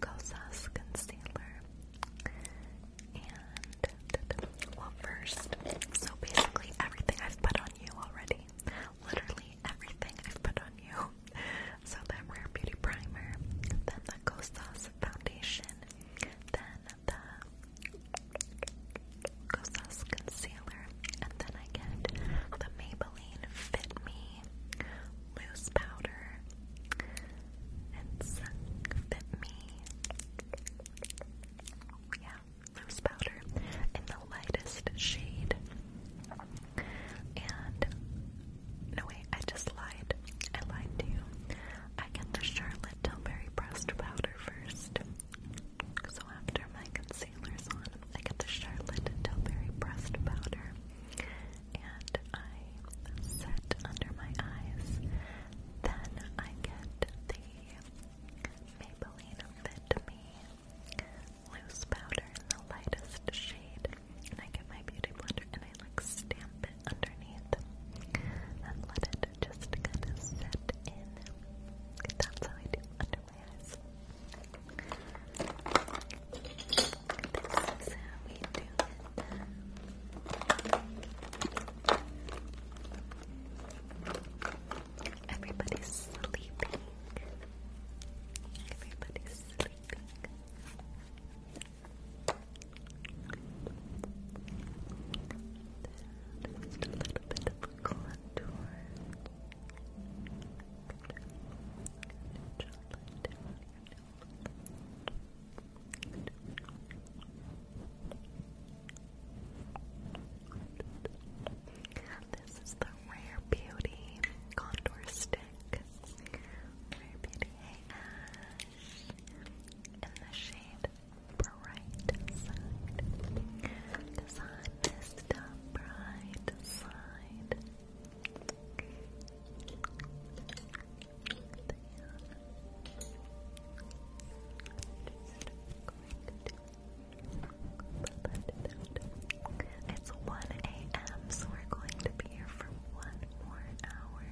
Kosas concealer. And, well, first, so basically everything I've put on you already. Literally everything I've put on you. So that Rare Beauty Primer, then the Kosas Foundation, then the Kosas Concealer, and then I get the Maybelline Fit Me loose powder. It's Fit Me. Oh, yeah, loose powder in the lightest shade. And no wait, I just lied. I lied to you. I get the Charlotte Tilbury pressed powder first. So after my concealer's on, I get the Charlotte Tilbury pressed powder and I set under my eyes. Then I get the Maybelline Fit Me loose powder in the lightest shade, and I get my beauty blender and I like stamp it underneath and let it just kind of set in. That's how I do under my eyes. This is Everybody's sleeping. Everybody's sleeping. Just a little bit of contour. This is the Rare Beauty Contour Stick. Rare Beauty Hey In the shade Bright Side. Design is the Bright Side. It's 1 a.m., so we're going to be here for one more hour.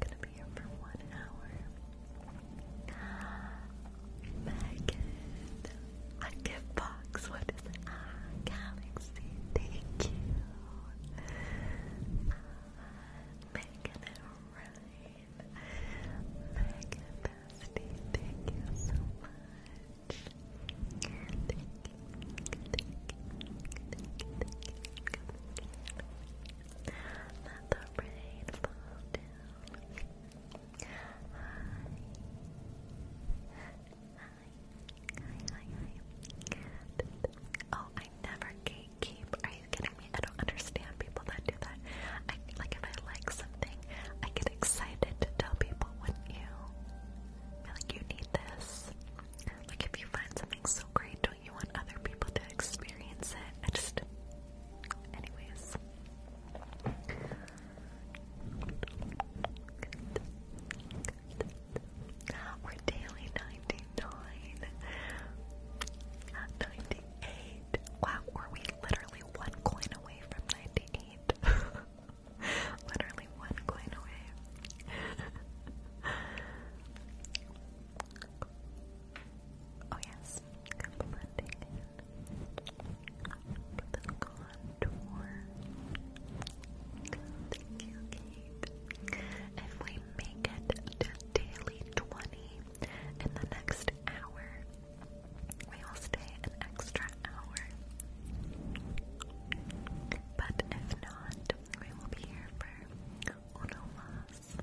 gonna be here for one hour. Megan. A gift box. What is it? Galaxy. Thank you. Megan and Ryan. Thank you so much. Thank you. Hi. Oh, I never gatekeep. Are you kidding me? I don't understand people that do that. I like if I like something, I get excited to tell people, wouldn't you? like you need this. Like if you find something so great, don't you want other people to experience it? I just, anyways. Good. We're daily 99 at 98. Wow, were we literally one coin away from 98? *laughs* literally one coin away. *laughs* oh yes, Thank you, Kate. If we make it to daily 20 in the next hour, we will stay an extra hour. But if not, we will be here for uno más.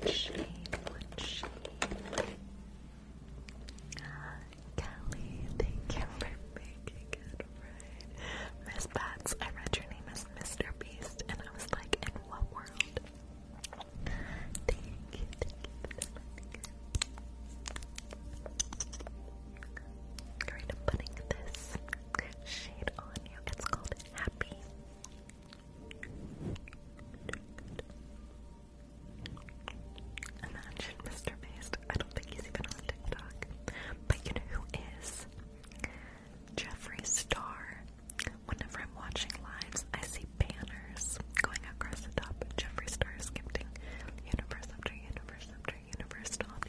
What shade, what shade. Kelly, thank you making it right. Miss Bats, I read your name as Mr. Beast, and I was like, in what world? Thank you, thank you for Great, I'm this shade on you. It's called Happy. Imagine Mr. Beast. I don't think he's even on TikTok. But you know who is? Jeffree Star. Whenever I'm watching lives, I see banners going across the top. Jeffree Star is universe after universe after universe to all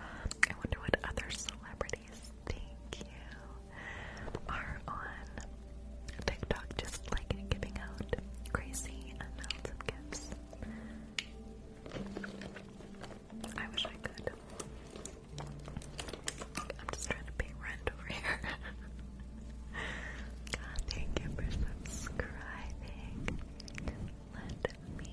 I wonder what other celebrities, thank you, are on TikTok just like giving out crazy amounts of gifts. I wish I could. I'm just trying to pay rent over here. God, *laughs* thank you for subscribing. Let me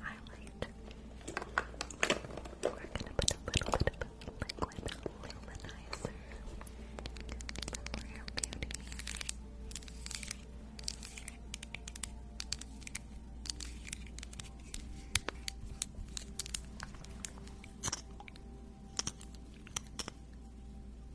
highlight. We're gonna put a little liquid luminizer from Beauty.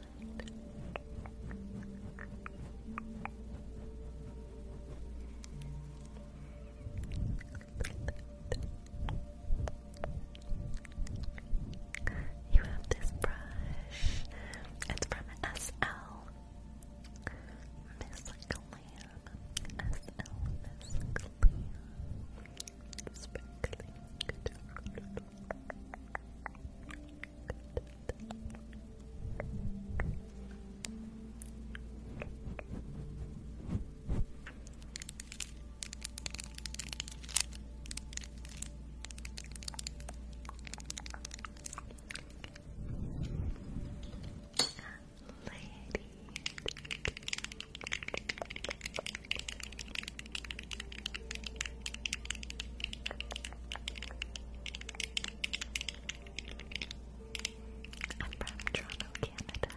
You have this brush. It's from SL. Miss Glam. SL Miss Glam. Sparkling. Lady. I'm from Toronto, Canada.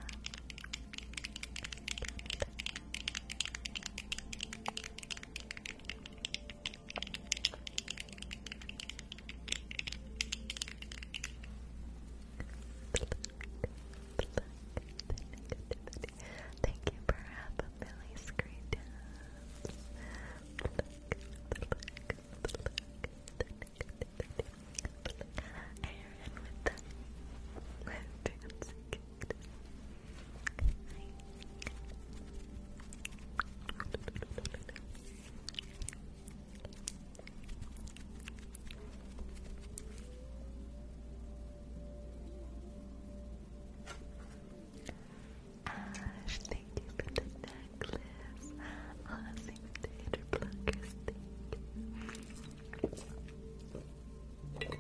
Thank you for having me. Billy Screen Aaron with the dancing Ash, thank you for the necklace. Honestly, with the hater pluckers, Thank you,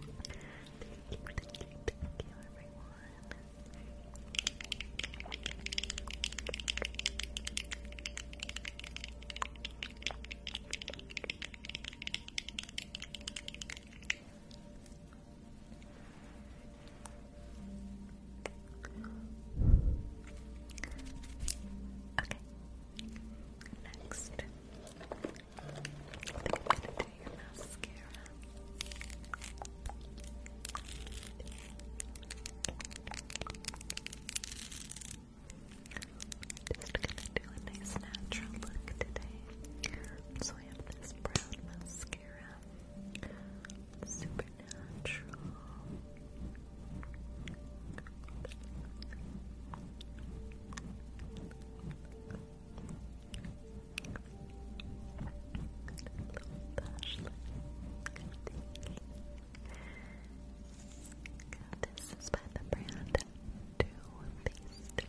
thank you, thank you, everyone. Okay. Next, I am gonna do your mascara. Just gonna do a nice natural look today. So I have this brown mascara. Shakira, Supernatural. This is by the brand Too Faced.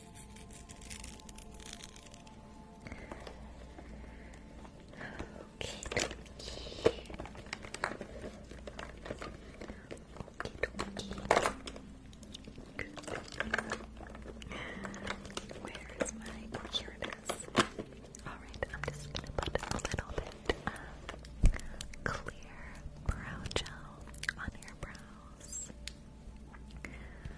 Okay, dokie. Okay, dokie. Where is my? Oh, it is. Alright, I'm just gonna put a little bit of clear brow gel on your brows.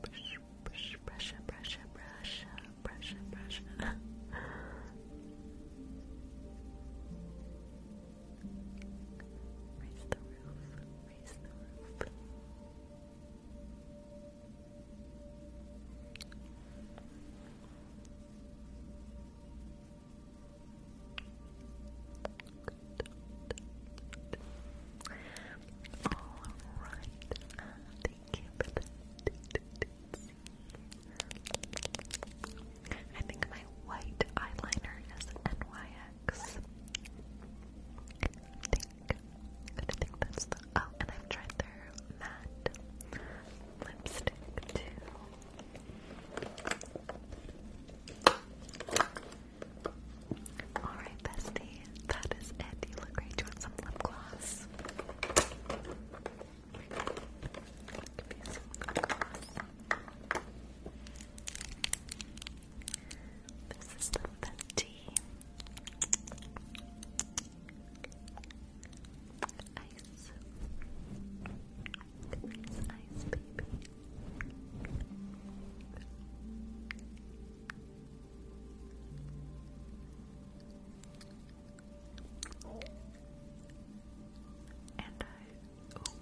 Brush, brush, brush, brush, brush, brush, brush. Raise the roof, raise the roof. Good. Alright, thank you I think my white eyeliner is NYX. I think, I think that's the, oh, and I've tried their matte lipstick too. Alright, bestie, that is it. You look great. Do some lip gloss? This is the Fenty Ice Nice And I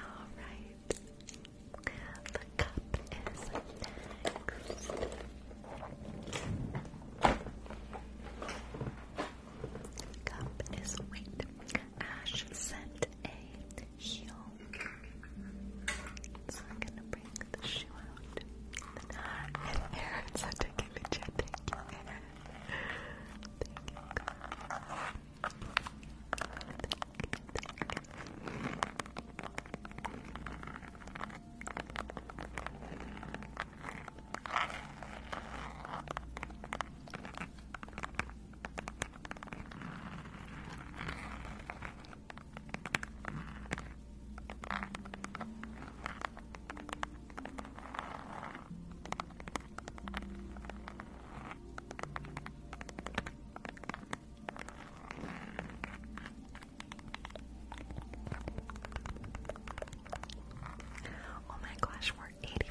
Alright. The cup is next. Cup is wait. Ash sent a heel. So I'm gonna bring the shoe out. And Aaron's not taking the chat. Thank you, Thank you, Thank you, thank you. Oh my gosh, we're eighty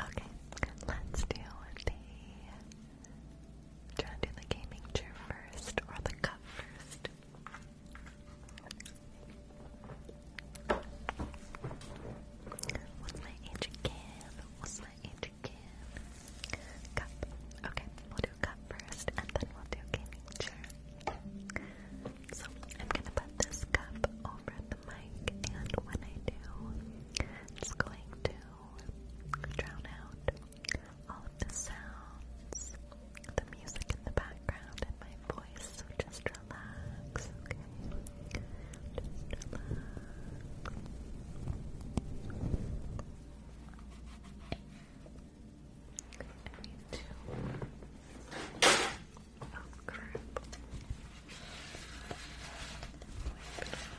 Okay, let's do the do you want to do the gaming chair first or the cup first? What's my age again? What's my age again? Cup. Okay, we'll do cup first and then we'll do gaming chair. So I'm gonna put this cup over the mic and when I do, it's going to drown out all of the sounds, the music in the background, and my voice. So just relax, I need to. Oh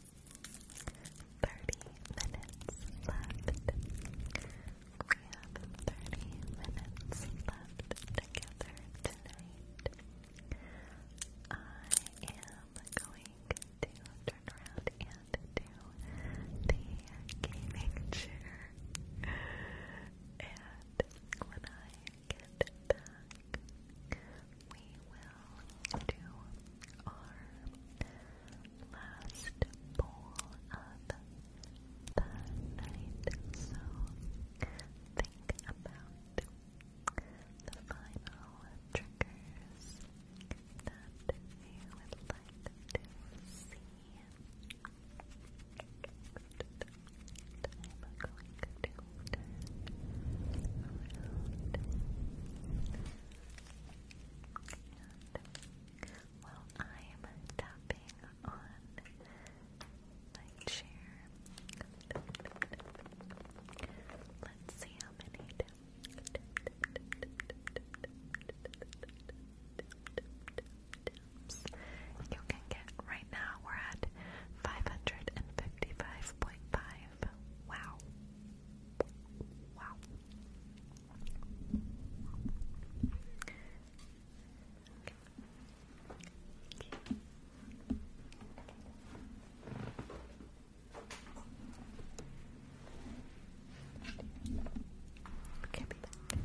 Thirty minutes left. We have thirty minutes left together tonight. I am going to turn around and do the gaming chair. And when I get back, we will do our last bowl of the night. So think about the final triggers that you would like to see. And I am tapping on my chair, let's see how many taps you can get. Right now we're at 555.5. Wow. Wow. Okay, be back. Okay.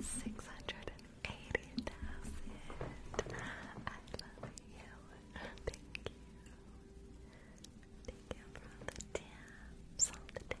Six hundred and eighty thousand. I love you. Thank you. Thank you for the tips,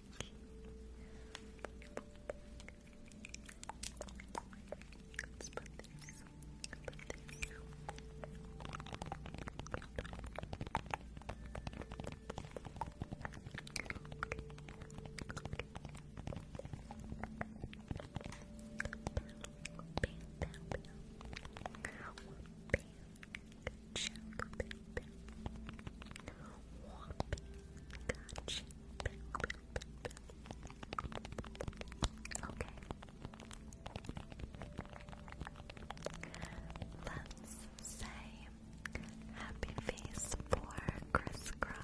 Let's put this. Put this. Bam, bam, bam. Bam, bam, bam. Gotcha, baby. Okay. Let's say happy face for crisscross.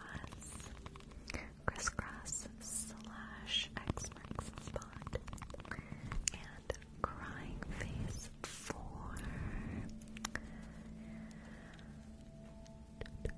Crisscross slash X marks the spot. And crying face for um,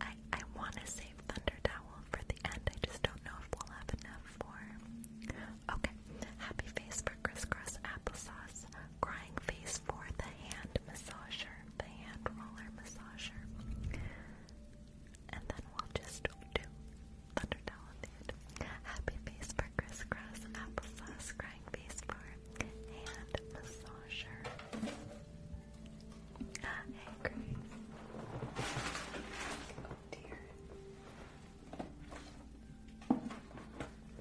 I I want to save Thunder Towel for the end. I just don't know if we'll have enough for Okay. Happy face for crisscross applesauce. Crying face for the hand massager, the hand roller massager. And then we'll just do Thunderdell Happy face for crisscross, applesauce, crying face for hand massager. Hey, Grace. Oh, dear.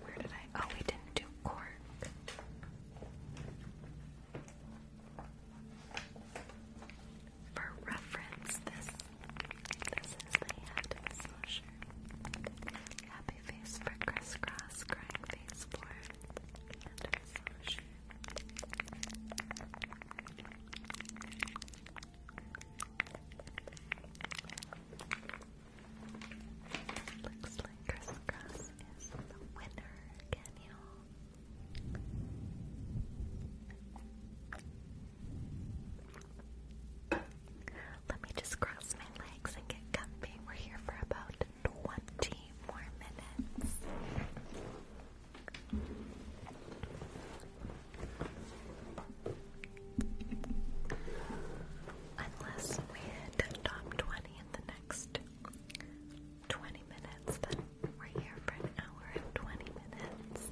Where did I? Oh, we didn't do cork. For reference, this this is the hand smasher. Happy face for crisscross, crying face for hand Looks like crisscross is the winner, can let me just cross my legs and get comfy. We're here for about 20 more minutes. Unless we hit top 20 in the next 20 minutes, then we're here for an hour and 20 minutes.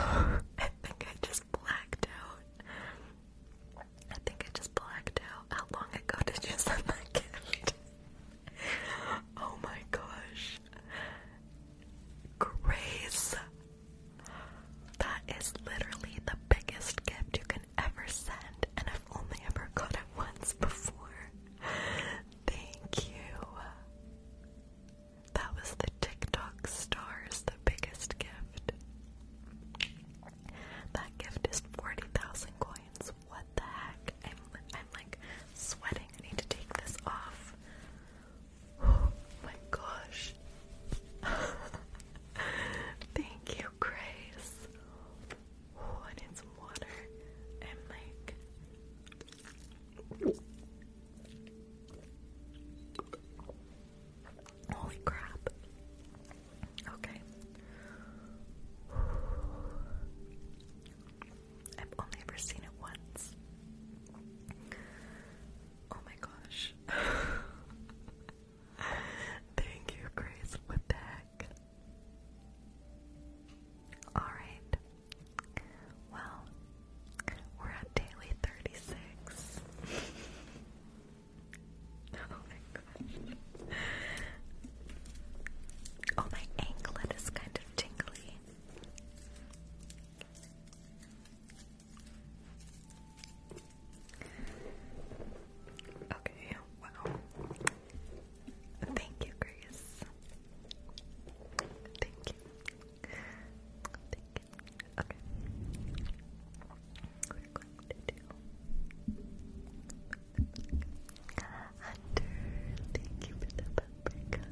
Oh, *laughs* I think I just blacked out. I think I just blacked out. How long ago *laughs* did you send that gift? oh my gosh. Grace. That is literally the biggest gift you can ever sent, and I've only ever got it once before. Thank you. That was the TikTok stars, the biggest gift. That gift is 40,000 coins. What the heck? I'm, I'm like sweating. I need to take this off. Oh my gosh. *laughs* Thank you, Grace when it's water, I'm like. Holy crap. Okay. I've only ever seen it once. Oh my gosh. *laughs* Thank you, Grace. What the heck? back. Alright. Well, we're at daily 36. *laughs* oh my gosh. Oh, my anklet is kind of tingly. Okay, wow. Thank you, Grace. Thank you. Thank you. Okay. we Thank you for the bumper Thank you, thank you, thank you, thank you.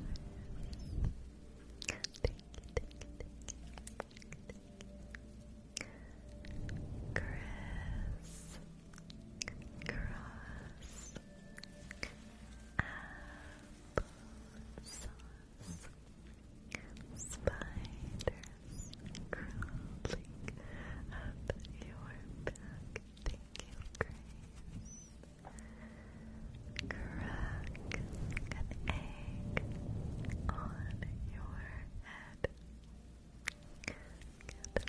Chris. Cross apple Spiders crawling up your back. Thank you, Grace. Crack an egg on your head. And let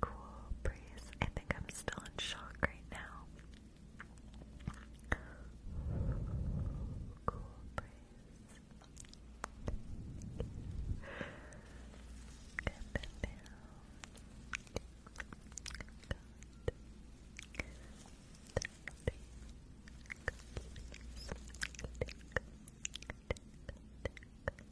Cool breeze. I think I'm still in shock right now. Cool breeze. Good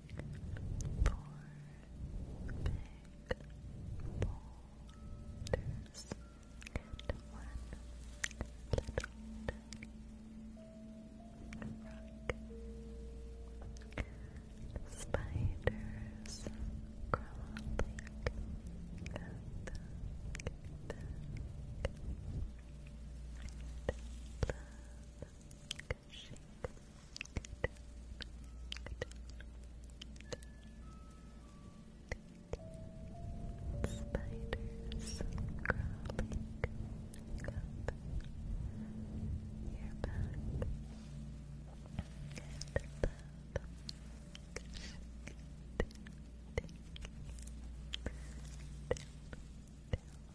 boulders and one little rock. Spiders crawling back, back, blood Spiders crawling up your back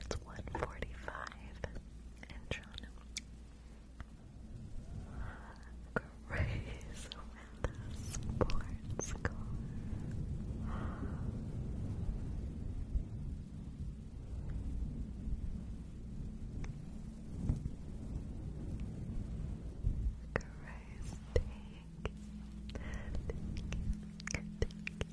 It's one forty-five in Toronto. Grace with the sports car. Grace, thank Thank you.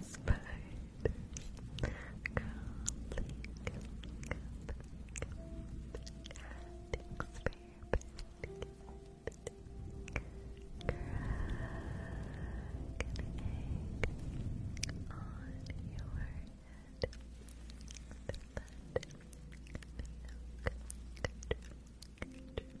Spiders crawling up the experiment. Crack on your head. The lead, the yolk,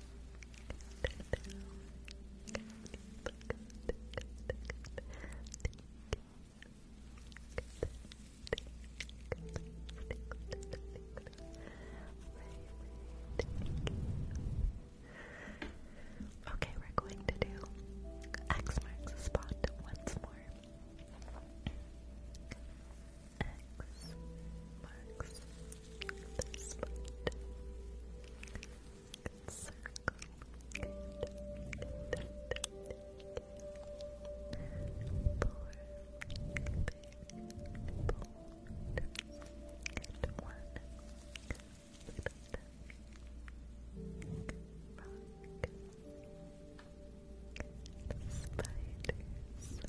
Okay, we're going to do X marks the spot once more. X marks the spot. Circle. Good. Good. Four big boulders and one little rock. The spiders grow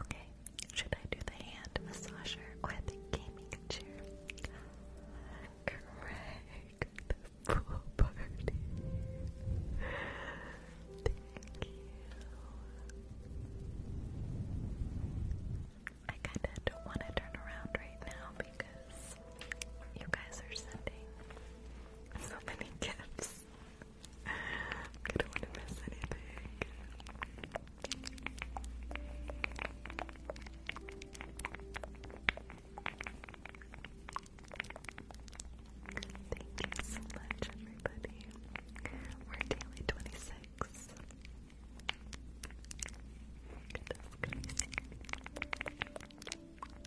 Okay, should I do the hand massager or the gaming chair? Correct, the pool party. Thank you. I kind of don't want to turn around right now because you guys are sending so many gifts. I don't want to miss anything. Thank you so much, everybody. We're daily 26.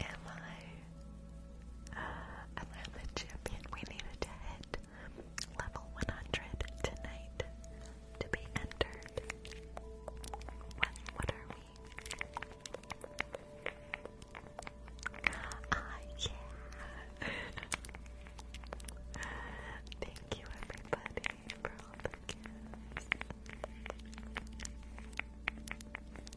Am I? Uh, champion? We needed to hit level 100 tonight to be entered. What, what are we? Ah, yeah. *laughs* Thank you, everybody, for the gifts.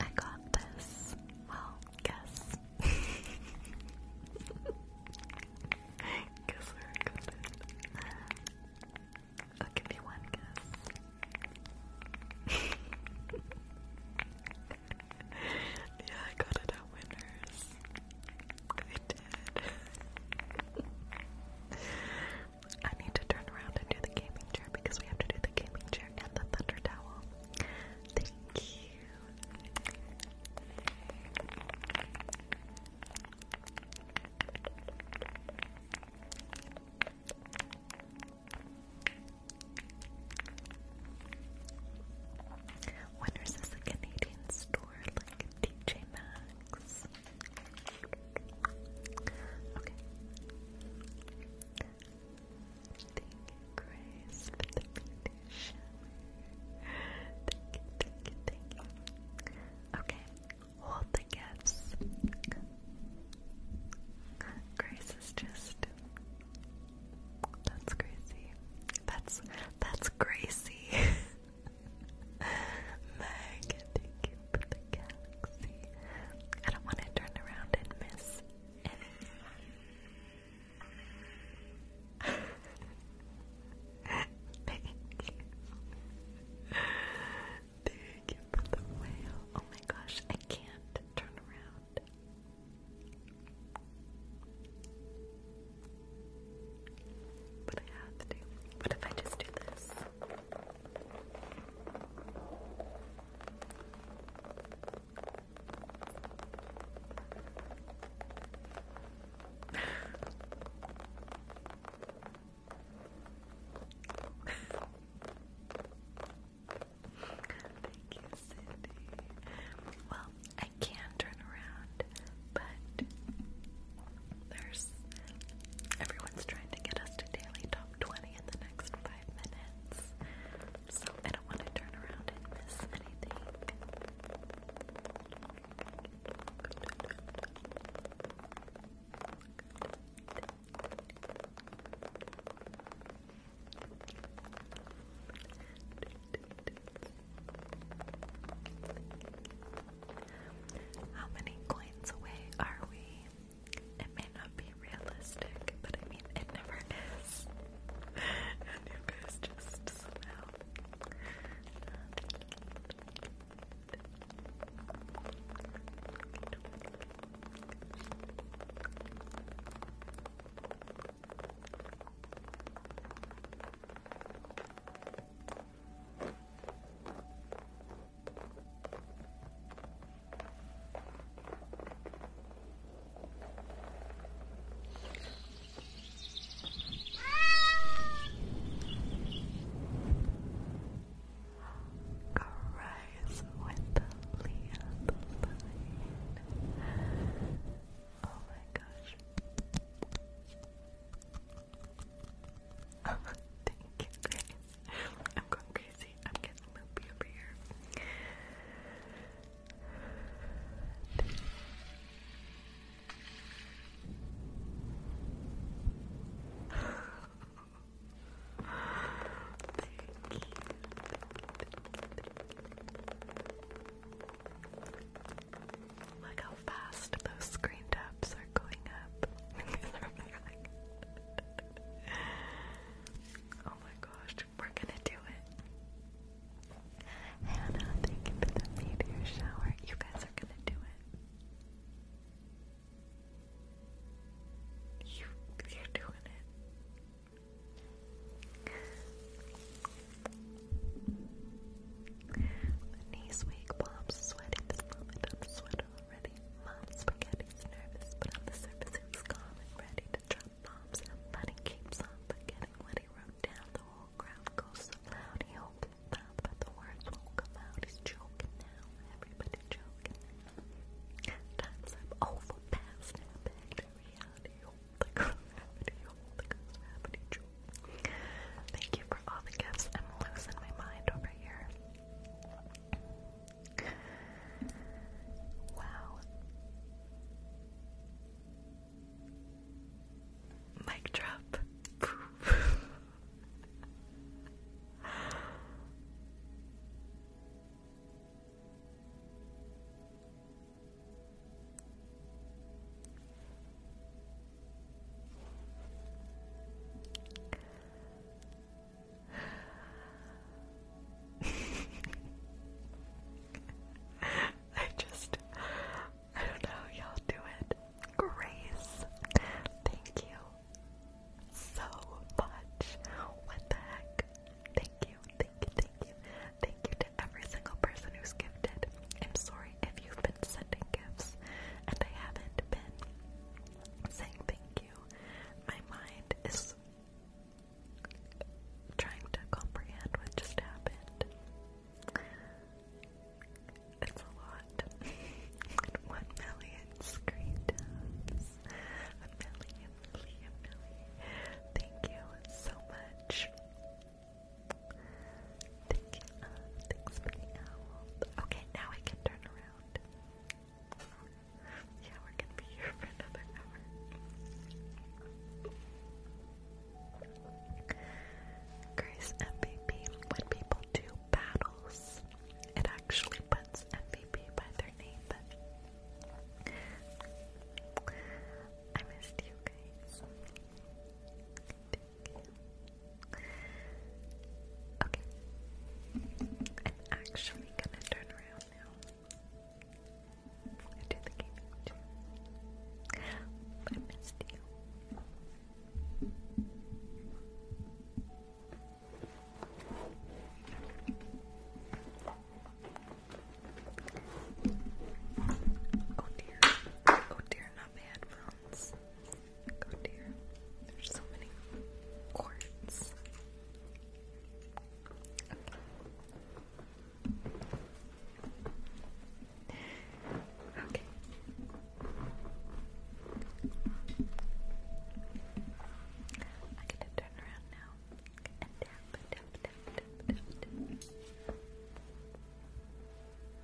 I got this. Well, guess. *laughs* guess where got it. I'll oh, give you one guess. *laughs* yeah, I got it at Winners. I did. I need to turn around and do the gaming chair because we have to do the gaming chair and the thunder towel. Thank you. When is this Canadian store like DJ Maxx? Okay. Thank you, Grace, for the meditation. Thank you, thank Okay, hold the gifts. Grace is just that's Gracie. That's that's Gracie. *laughs* Meg, for the galaxy. I don't want to turn around and miss any. *laughs* thank you. for the whale. Oh my gosh, I can't turn around. But I have to. What if I just do this? *laughs* Thank you, Cindy. Well, I can turn around but there's everyone's trying to get us to daily top 20 in the next five minutes, so I don't want to turn around and miss anything. How many coins away are we? It may not be realistic, but I mean, it never is. *laughs* and you guys just somehow. Arise with the Leon Oh my gosh. *laughs* I'm going crazy. I'm getting loopy over here. Thank *laughs* you. Look how fast those screen taps are going up. *laughs* oh my gosh, we're gonna do it. Hannah, thank you for the meteor shower. You guys are gonna do it. you're doing it. Knees weak, palms sweating. This moment I'm sweating already. Mom spaghetti's nervous, but on the surface he was calm and ready to drop bombs. But he keeps on forgetting what he wrote down. The whole crowd goes so loud. He opens his mouth, but the words won't come out. He's joking now. Everybody joking now. Time's up. Over. Pass now. Back to reality. Hold the girls rapid. Hold the girls rapid. Thank you for all the gifts. I'm losing my mind over here. Wow. Mic drop. *laughs* I just, I don't know y'all do it. Grace, thank you so much. What the heck? Thank you, thank you, thank you. Thank you to every single person who's gifted. I'm sorry if you sending gifts, and I haven't been saying thank you. My mind is trying to comprehend what just happened. It's a lot. *laughs* One million screen A million, million, million. Thank you so much. Thank you. Okay, now I can turn around. Yeah, we're gonna be here for another hour. Grace MVP. When people do battles, it actually puts MVP by their name. But I missed you guys. Okay. I'm actually gonna turn around now. I do the gaming too. I missed you. Oh dear. Oh dear, not my headphones. God dear, there's so many quartz. Okay. I'm gonna turn around now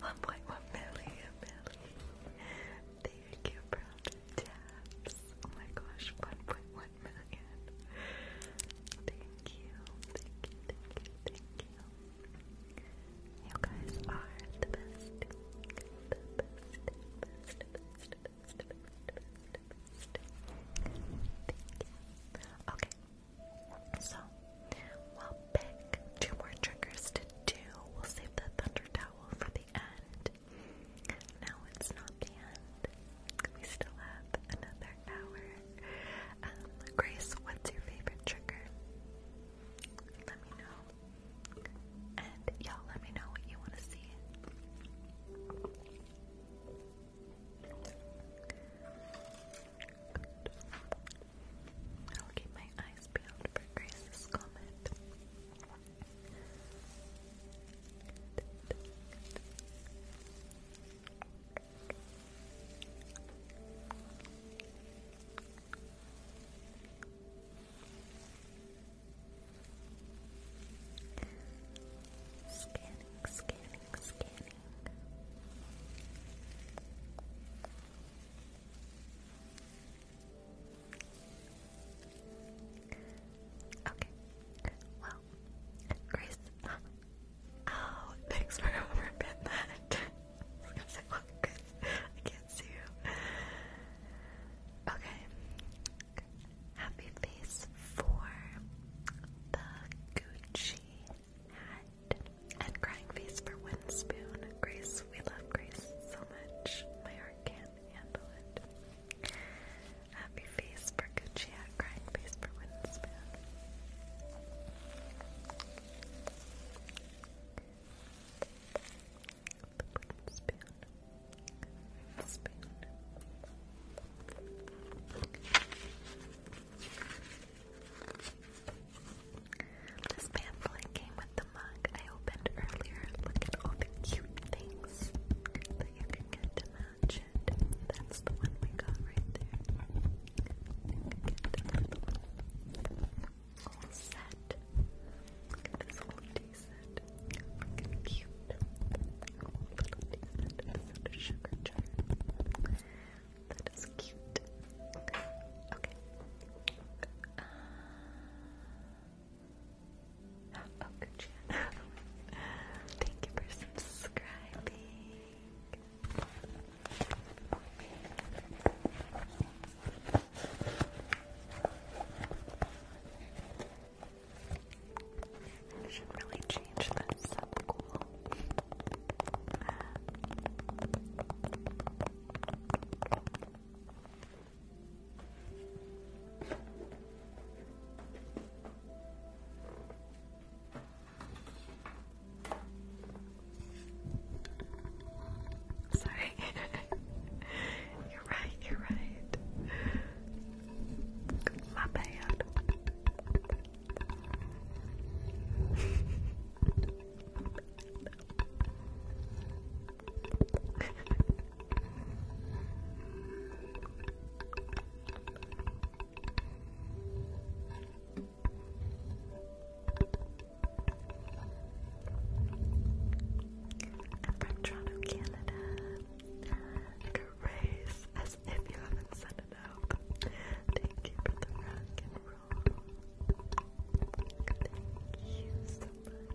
One point one million, million. Thank you, brother Tabs. Oh my gosh, one point one million. Thank you, thank you, thank you, thank you. guys are the best. Okay. So, we'll pick two more triggers to do. We'll save the thunder towel for the end. No, it's not the end. We still have another hour um, Grace, what's your favorite trigger? Let me know. And y'all let me know what you want to see. I'll keep my eyes peeled for Grace's comment. Scanning, scanning, scanning. Okay. Well, Grace, *laughs* Oh, thanks for overpin that. *laughs* I can't see you. Okay. Happy face for the Gucci hat. And crying face for Winspoon. Grace, we love Grace so much. My heart can't handle it. Happy face for Gucci this pamphlet came with the mug I opened earlier. Look at all the cute things that you can get to match it. That's the one we got right there. All set. Look at this whole tea set. Freaking cute. Whole little Sugar Jar. That is cute. Okay. oh, good Thank you for subscribing. I should really change this up Sorry. *laughs* you're right, you're right. My bad. *laughs* Toronto, Canada. Grace, as if you haven't set it up. Thank you for the rock and roll. Thank you so much.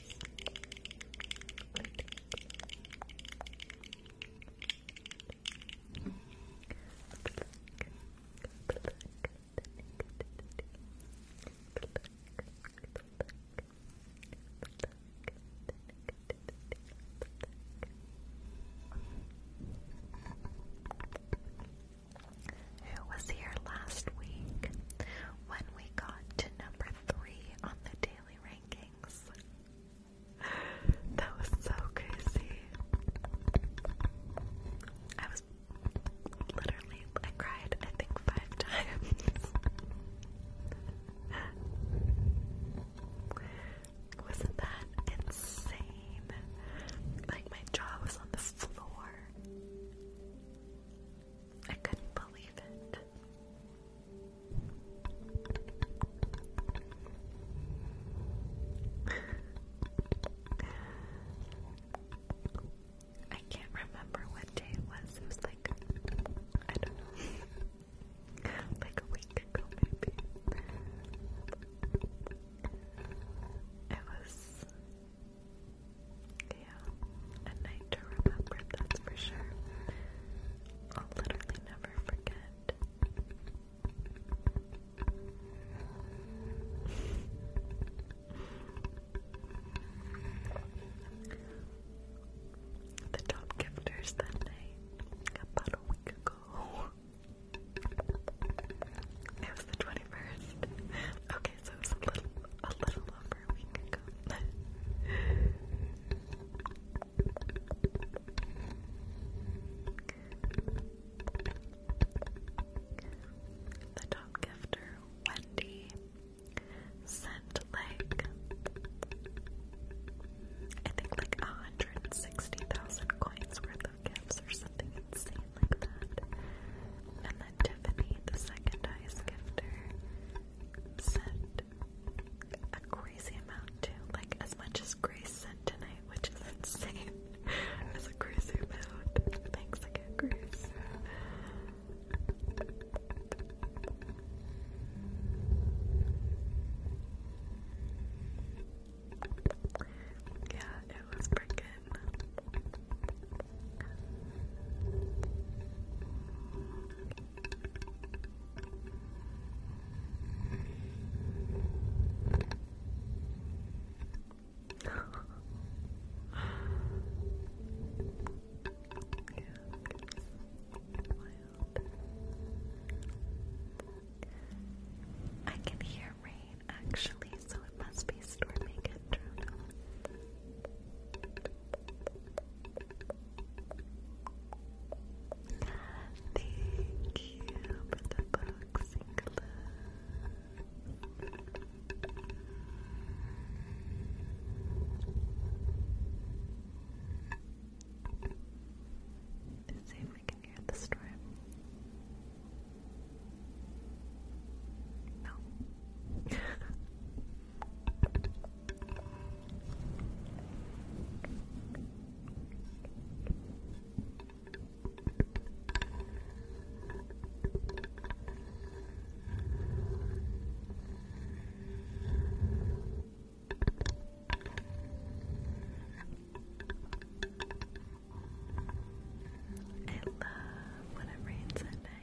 Who was here last week when we got to number three on the daily rankings. That was so crazy. I was literally, I cried, I think, five times. Wasn't that insane? Like, my jaw was on the floor. I couldn't believe it. I can't remember what day it was. It was like, I don't know, *laughs* like a week ago maybe. It was yeah, a night to remember, that's for sure. I'll literally never forget. The top gifters that night, about a week ago. *laughs* It was the 21st. Okay. Okay, so it was a little, a little over a week ago. the top gifter, Wendy, sent I think like 160,000 coins worth of gifts or something insane like that. And then Tiffany, the second sent a crazy amount too. Like as much as Grace sent tonight, which is insane. As *laughs* a crazy amount. Thanks again, Grace. Yeah, it was freaking yeah, I can hear rain actually, so it must be storming at Thank you for the boxing Let's see if we can hear the storm. No. *laughs* I love when it rains at night.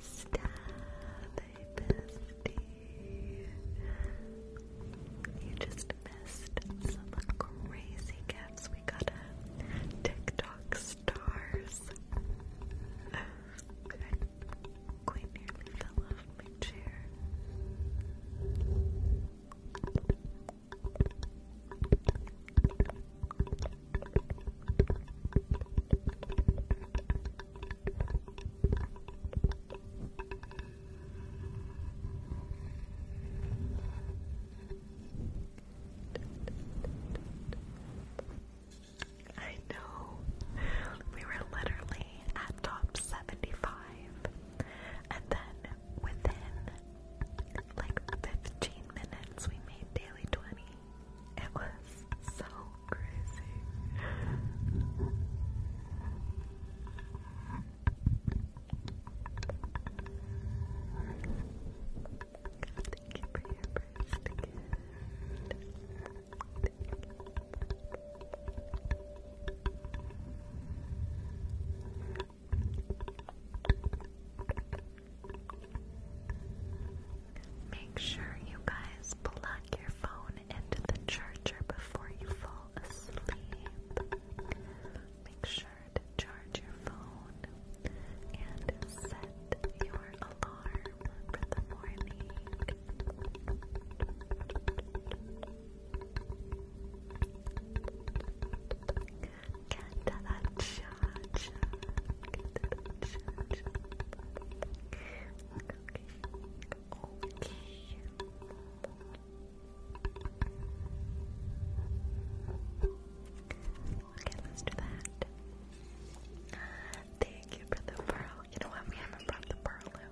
Stab, hey bestie. You just missed some crazy gifts. We got TikTok stars quite nearly fell off my chair. I know. We were literally at top 75. And then within like 15 minutes, we made daily 20. It was so crazy. Make sure you guys plug your phone into the charger before you fall asleep. Make sure to charge your phone and set your alarm for the morning. Okay. let's do that. Thank you for the pearl. You know what? We haven't brought the pearl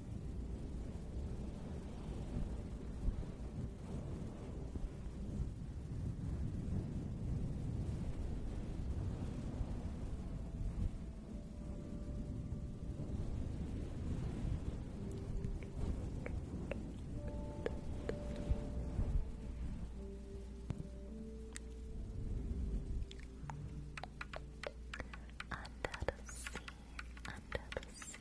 Under the sea, under the sea,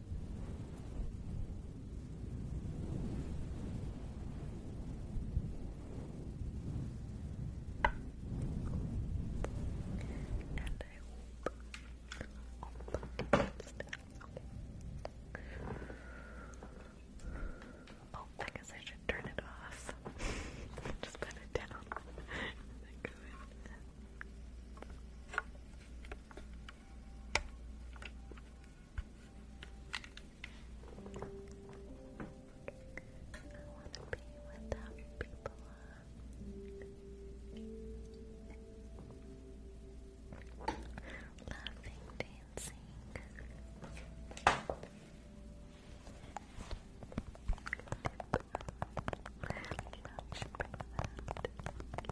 And I hope all the podcasts. Okay. Oh, I guess I should turn it off. *laughs* Just put it down. *laughs* I want to be with that people Laughing, dancing. I love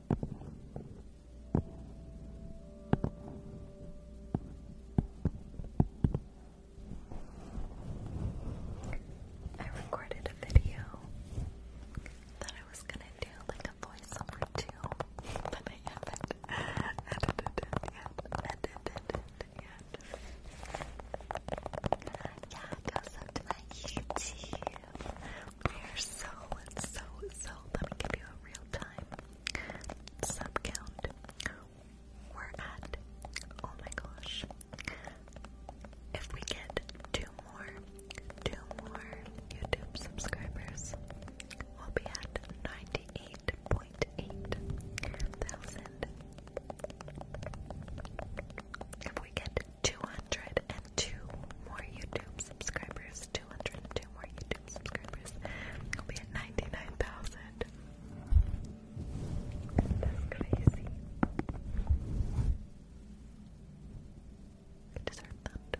I recorded a video that I was gonna do like a voiceover too, but I haven't edited it yet. Edited Yeah, it YouTube. We're so, so, so, let me give you a real time sub count. We're at, oh my gosh, if we get two more, two more YouTube subscribers, we'll be at 98.8 thousand. If we get 202 more YouTube subscribers. 202 more YouTube subscribers. We'll be at 99,000. That's crazy. I deserve thunder.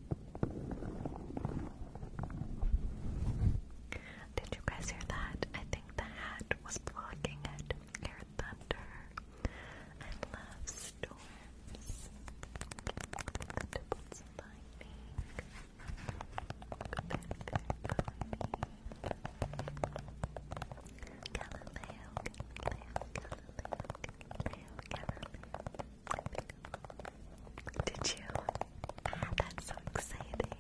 Did you guys hear that? I think the hat was blocking it. Air thunder. I love storms. Doubles lightning. Good, Galileo, Galileo, Galileo, Galileo. Did you? Ah, that's so exciting.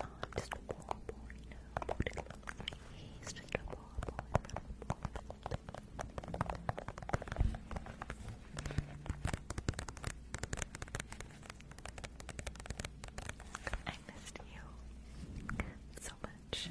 Oh, I'm just a ball He's just a ball I missed you so much.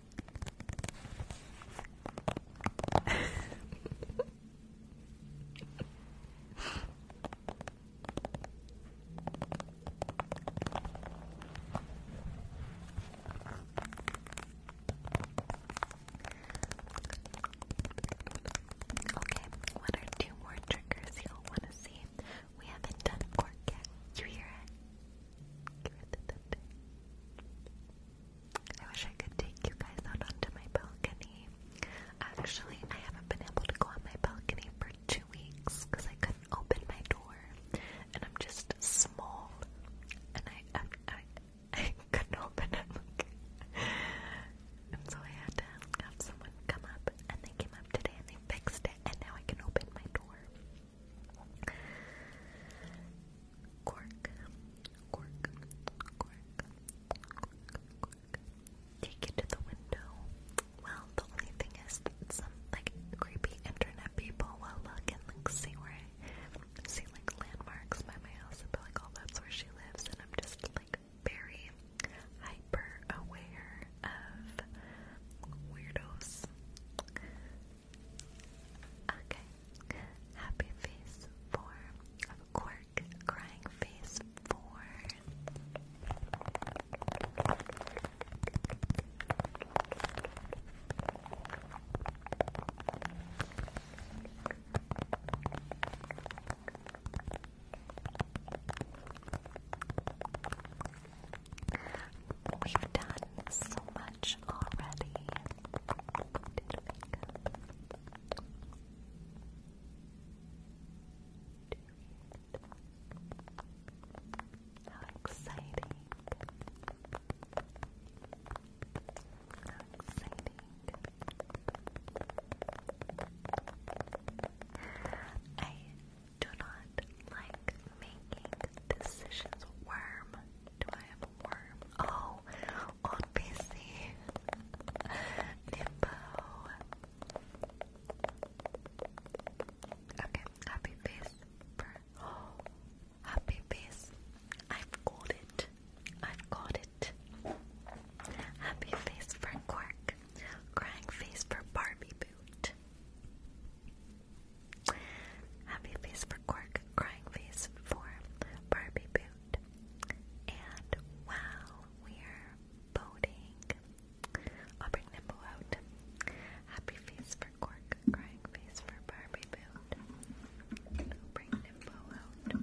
okay, what are two more triggers you want to see? We haven't done cork yet. You hear it? I wish I could take you guys out onto my balcony. Actually, I haven't been able to go on my balcony for two weeks because I couldn't open my door, and I'm just small, and I I, I, *laughs* I couldn't open it, and so I had to have someone come up, and they came up today and they fixed it, and now I can open my door. Cork, cork, cork, cork, cork. Take it to the window. Well, the only thing is that some like creepy internet people will look and like see where I see like landmarks by my house and be like, oh, that's where she lives, and I'm just like very hyper aware of weirdos. Okay. Happy face four. Of crying face four. We've oh, done so much already. Did makeup. How exciting! How exciting! I do not like making decisions worm do I have a worm? Oh, on PC. Nimbo. Okay, happy face. For, oh, *gasps* happy face. I've got it. I've got it. Happy face for Quirk. Crying face for Barbie Boot. Happy face for Quirk. Crying Face for Barbie Boot. And while we're voting, I'll bring Nimble out. Happy Face for Cork, Crying Face for Barbie Boot. bring Nimble out.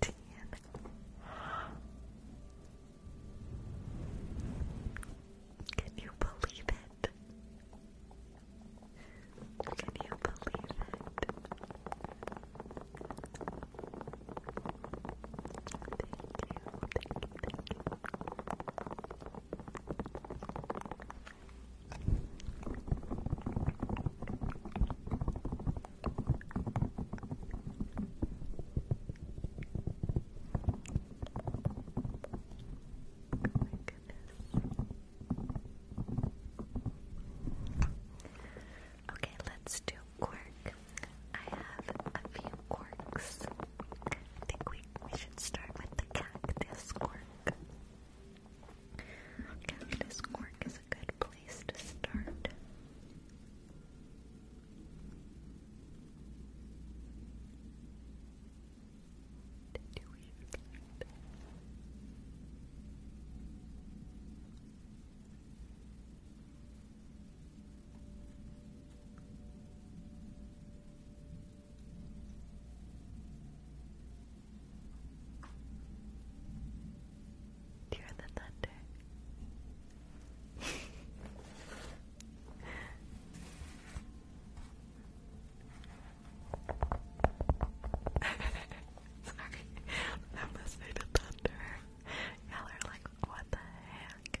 Can you believe it? Can you believe it? Thank you, thank you, thank you. Oh okay, let's do quark. I have a few quarks. I think we, we should start with the cactus quark. Cactus quark is a good place to start. Did you hear the thunder? *laughs* Sorry, I'm listening to thunder. Y'all are like, what the heck?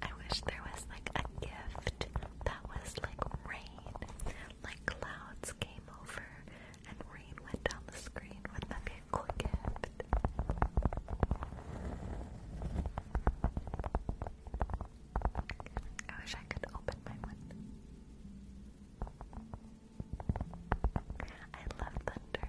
I wish there was like a gift that was like rain, like clouds came over and rain went down the screen. would that be a cool gift? I wish I could open my window. I love thunder.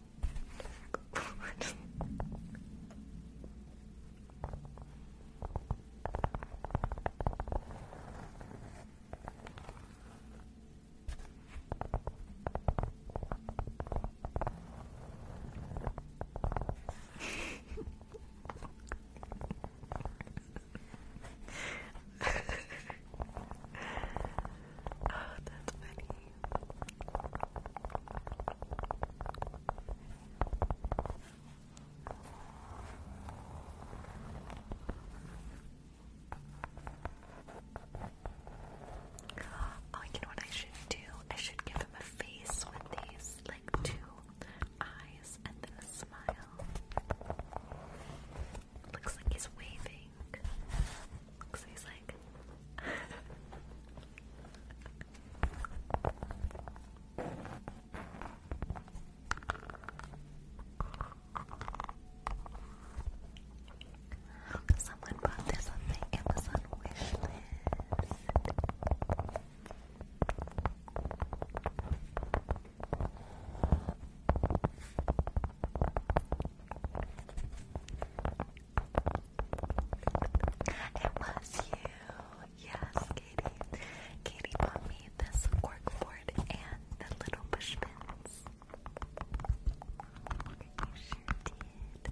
*laughs* oh, that's funny. Oh, you know what I should do? I should give him a face with these, like two eyes and then a smile. Looks like he's waving. Cause he's *laughs* Someone bought this on Amazon wish list. It was you. Yes, Katie. Katie bought me this corkboard and the little bushpins. You sure did.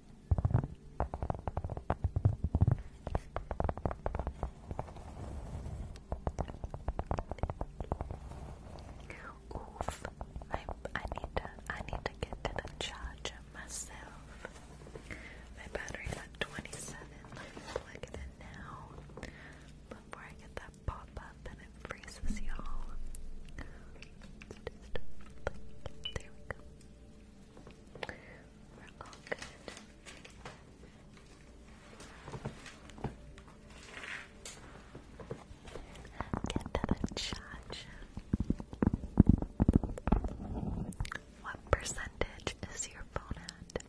Oof, my, I need to I need to get to the charger myself. My battery's at 27. Let me plug it in now. Before I get that pop up and it freezes y'all. There we go. Get to the chat. What percentage is your phone at?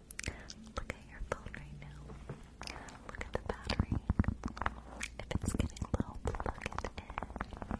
Look at your phone right now. Look at the battery. If it's getting low, plug it in.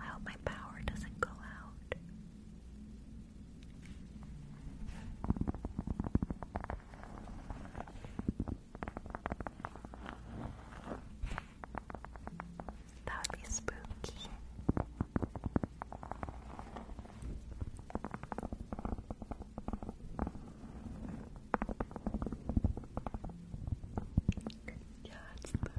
I hope my power doesn't go out. That would be spooky. Yeah, it's better.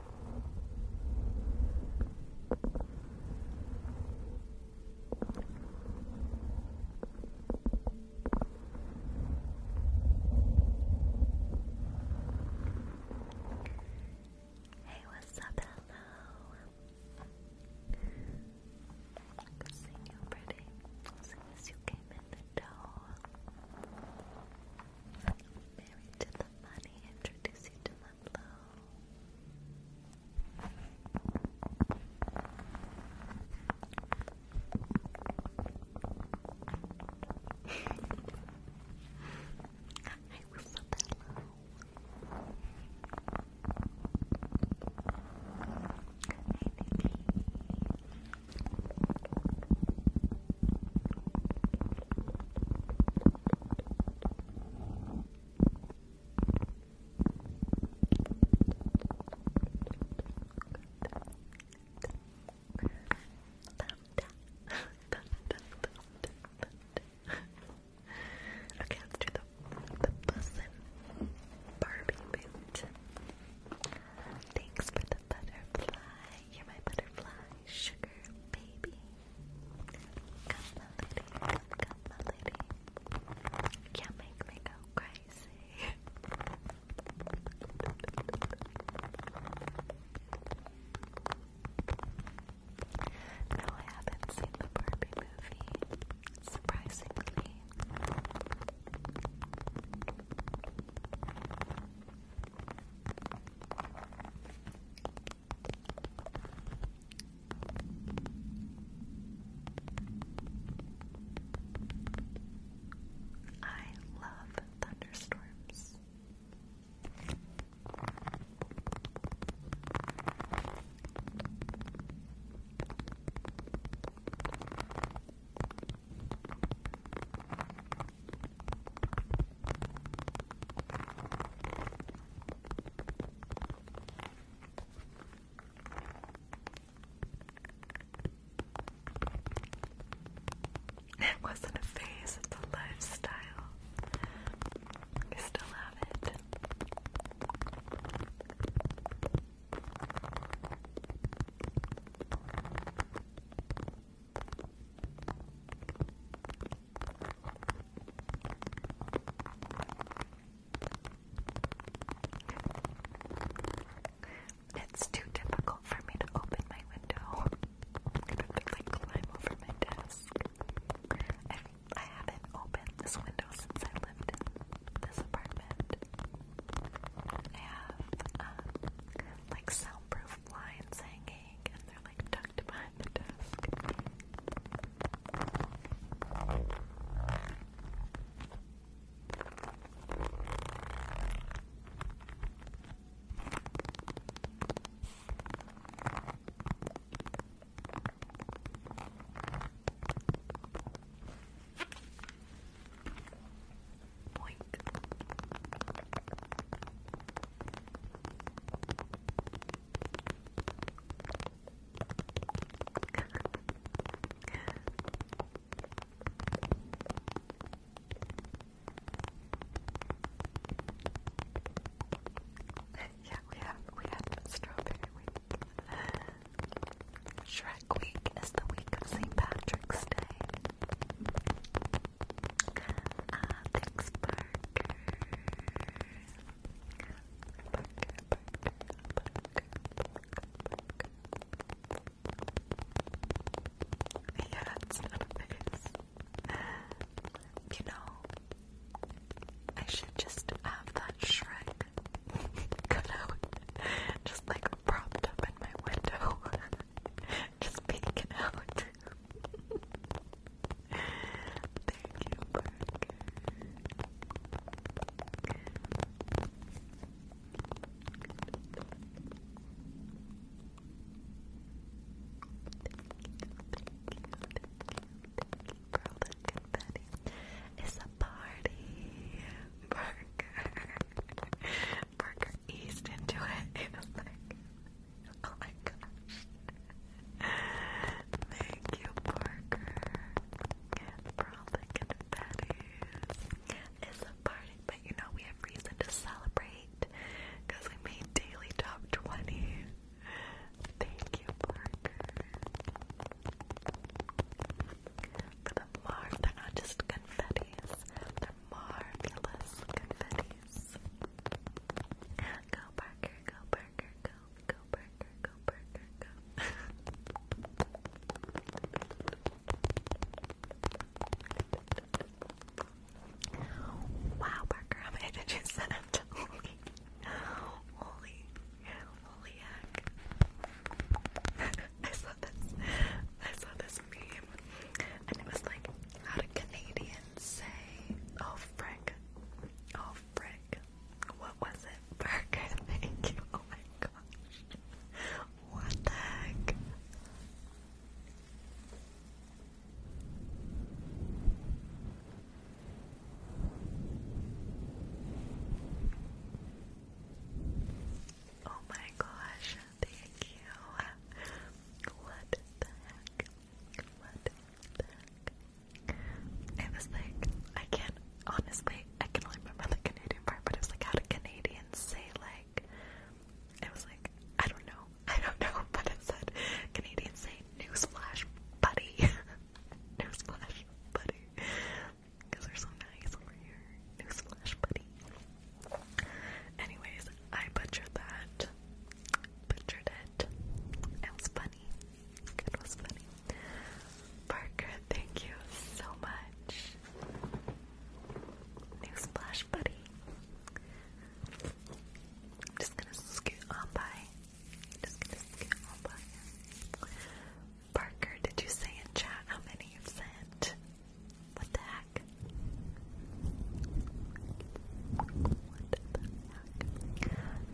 Hey, what's up? Hello. Good seeing you, pretty. As you came in the door. Married to the the money, introduce you to my blow. *laughs* I was so that low. Hey, okay, let the the bussin Barbie boot. Thanks for the butterfly. You're my butterfly sugar baby. Come, my lady. Come, my lady. Can't make me go crazy. no, I haven't seen the Barbie movie. Surprisingly. I love thunderstorms. *laughs* It wasn't a phase, it's a lifestyle. I still have it. It's too difficult for me to open my window. I'm have to climb over my desk. I, haven't opened this window since I lived in this apartment. I have um, like soundproof blinds hanging and they're like tucked behind the desk. Boink. *laughs* yeah, we have we have strawberry week. Shrek week is the week of St. Patrick's Day. Uh, thanks for yeah, it's not a face. You know, I should just have that Shrek cut out, just like propped up in my window, *laughs* just peeking out. Thank you, Parker. Thank you, thank It's a party, Parker. Parker eased into it. It was like *laughs* Oh my gosh. Thank you, Parker. Probably confettis. It's a party, but you know we have reason to celebrate because we made daily top 20. Thank you, Parker. For the mar, they're not just confettis, they're marvelous confettis. Go Parker, go Parker, go, go Parker, go Parker, go. wow, Parker, how many did you send up *laughs* Holy? Holy, holy heck. *laughs* I saw this, I saw this meme, and it was like, how do Canadians say, oh frick, oh frick, what was it? thank you, *laughs* oh my gosh. What the heck? Oh my gosh, thank you. What the heck? What It was like, I can't, honestly, I can only remember the Canadian part, but it was like, how do Canadians say, like, it was like, I don't know, *laughs* I don't know, but it said, Canadians say, newsflash, buddy. *laughs* newsflash, buddy. Because they're so nice over here. Newsflash, buddy. Anyways, I butchered that. Butchered it. was funny. It was funny. Parker, thank you so much. New splash buddy. I'm just gonna scoot on by. I'm just gonna scoot on by. Parker, did you say in chat how many you sent? What the heck? back. i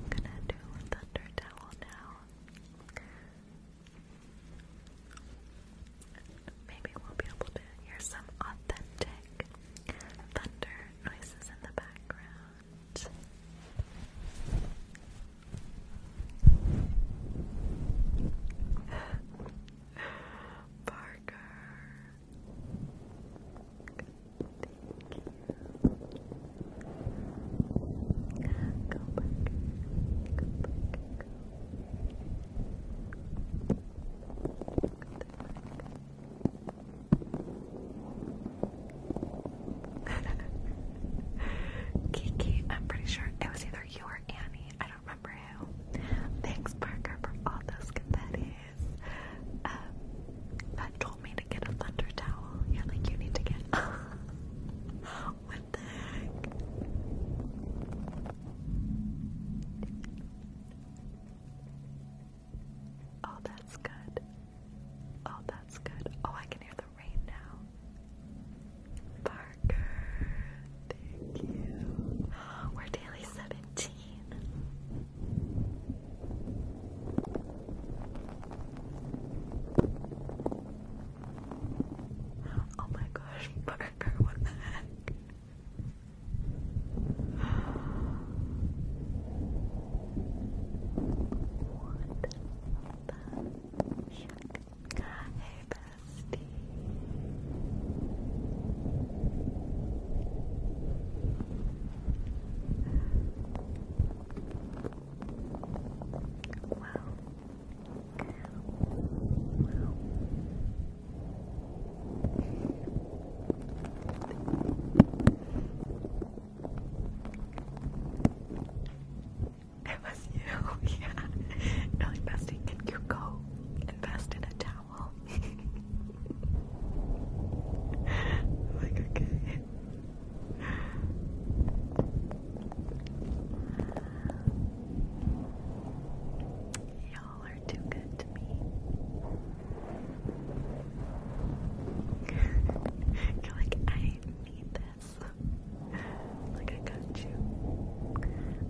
gonna do thunder towel now. Maybe we'll be able to hear some authentic thunder noises in the background. *laughs* Parker, Go Kiki, I'm pretty sure it was either you or Annie. I don't remember who. Thanks, Parker, for all those confetti that um, told me to get a thunder towel. Yeah, like you need to get. *laughs* Oh, that's good. Oh, that's good. Oh, I can hear the rain now. Parker, thank you. We're daily 17. Oh my gosh, *laughs* what the heck? What the heck? Wow. It was you, *laughs* yeah. Really, bestie, can you go invest in a towel? *laughs* i like, okay. Y'all are too good to me. You're like, I need this. like, I got you.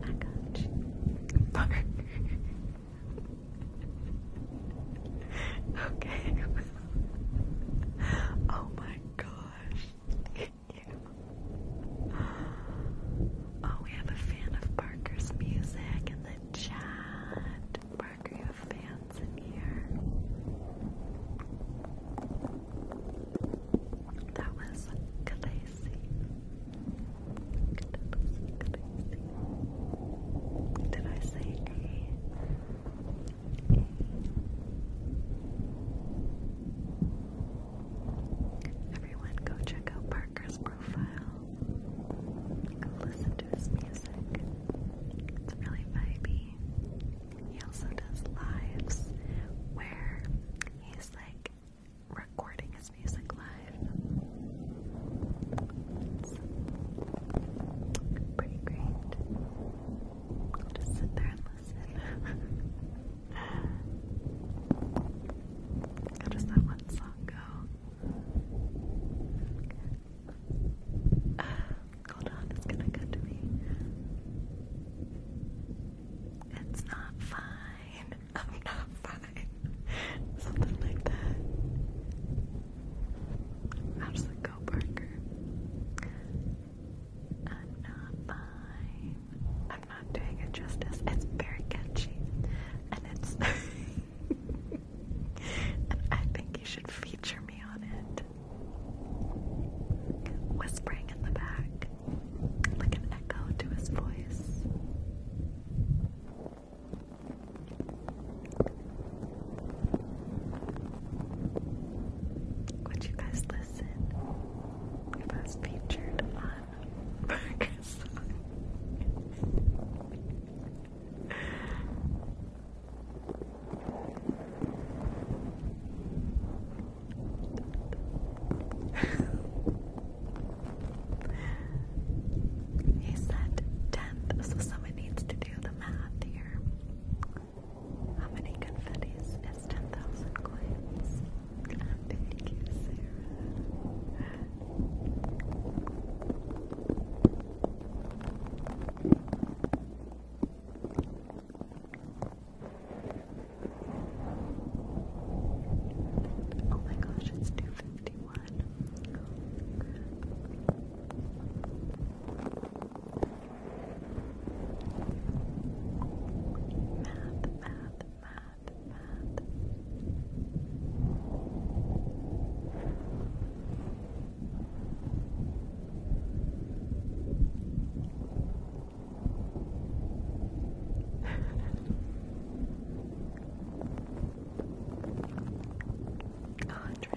I got you. Okay. *laughs* oh my gosh. you. Oh, we have a fan of Parker's music in the chat. Parker, you have fans in here. That was crazy. P. Did I say A. Everyone, go check out Parker's profile. Go listen to his music. It's really vibey. He also does lives where he's like recording his music live. Pretty great. I'll just sit there and listen. How does that one song go? *sighs* hold on, it's gonna go to me. It's not fine. *laughs* I'm not fine. *laughs* Something like that. Absolutely go, Parker. I'm not fine. I'm not doing it justice. It's very catchy. And it's *laughs* and I think you should feature me on it. Whispering in the back. Like an echo to his voice. Would you guys listen if I was featured on Marcus? he said 10th, so someone needs to do math here. How many confettis is 10,000 coins? Oh my gosh, it's 251. Math, math, math, math. *laughs* Andre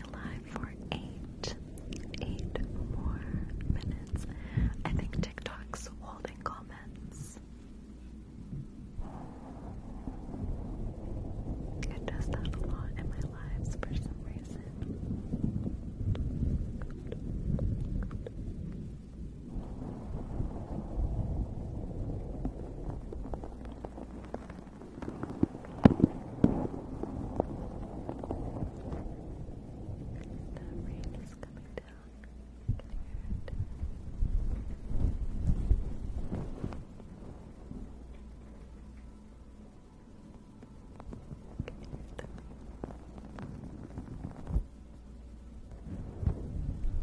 be for eight, eight more minutes. I think TikTok's holding comments. It does that a lot in my lives for some reason rain is coming down. I can hear it. I can hear the rain.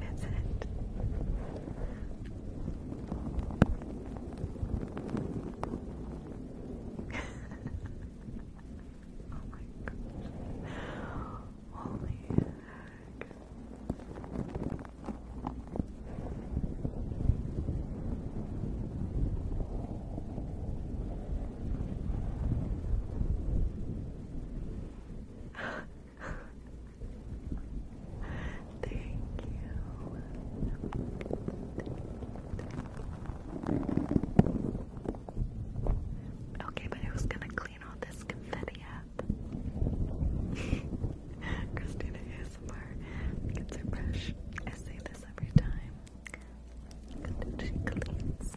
That's it. oh my gosh. Holy Thank you. Okay, but who's gonna clean all this confetti up? *laughs* Christina ASMR gets her brush. I say this every time. She cleans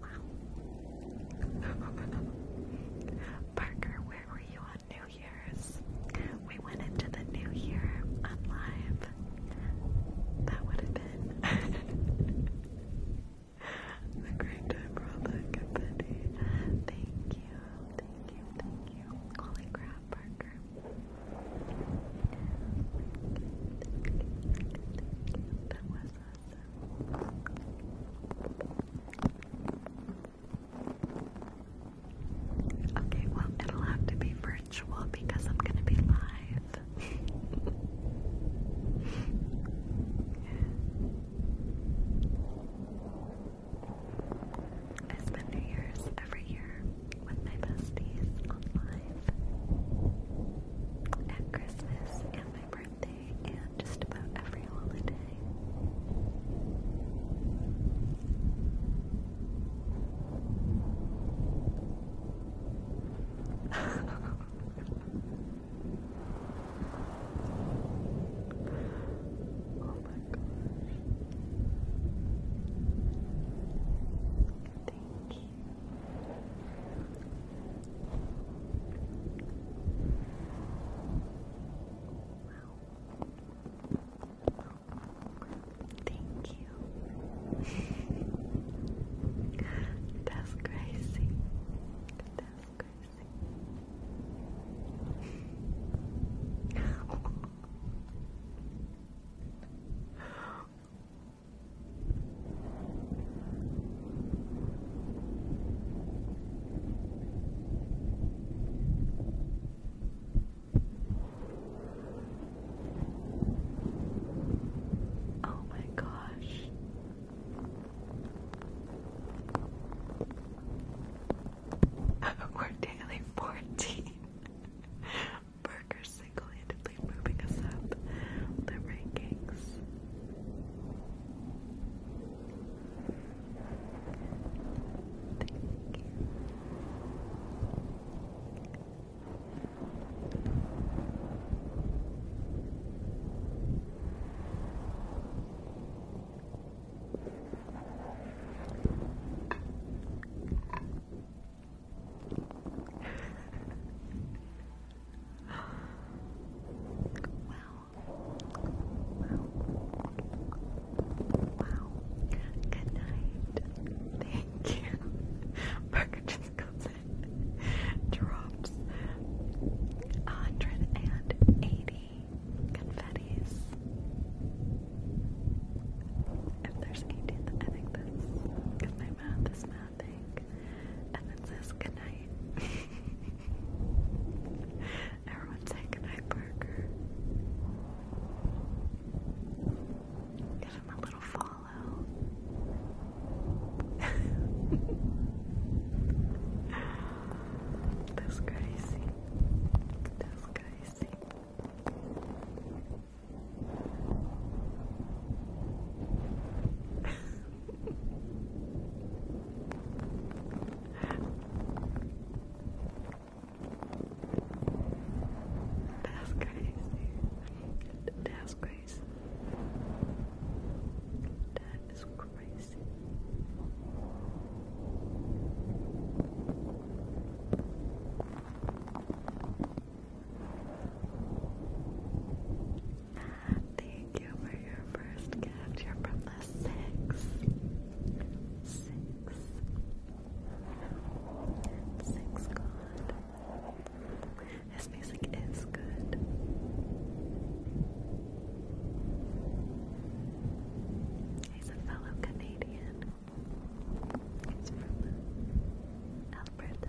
Wow. *laughs* Parker, where were you on New Year's? we went into the new year on that would have been a *laughs* great time for all that Thank you, thank you, thank you. Holy crap, Parker. That was awesome. Okay, well, it'll have to be for because I'm gonna be live. *laughs* I spend New Year's every year with my besties on at Christmas and my birthday and just about every holiday oh my gosh. Thank you. Wow. Thank you. *laughs* That's crazy. That's crazy. *laughs* Oh my gosh. *laughs* We're daily 14. *laughs* Burger single-handedly moving us up the rankings. Thank you wow. Wow. Wow. Good night. Thank you. Burger just comes in. Drops 180 confettis. If there's 18th, I think that's because my math is mathing. And it says goodnight. *laughs* Everyone say goodnight, Burger. Give him a little fall follow. That's crazy. That's crazy. That's crazy. That's crazy. That is crazy. Thank you for your first gift. You're from the six. Six. Six God. His music is good. He's a fellow Canadian. He's from Alberta.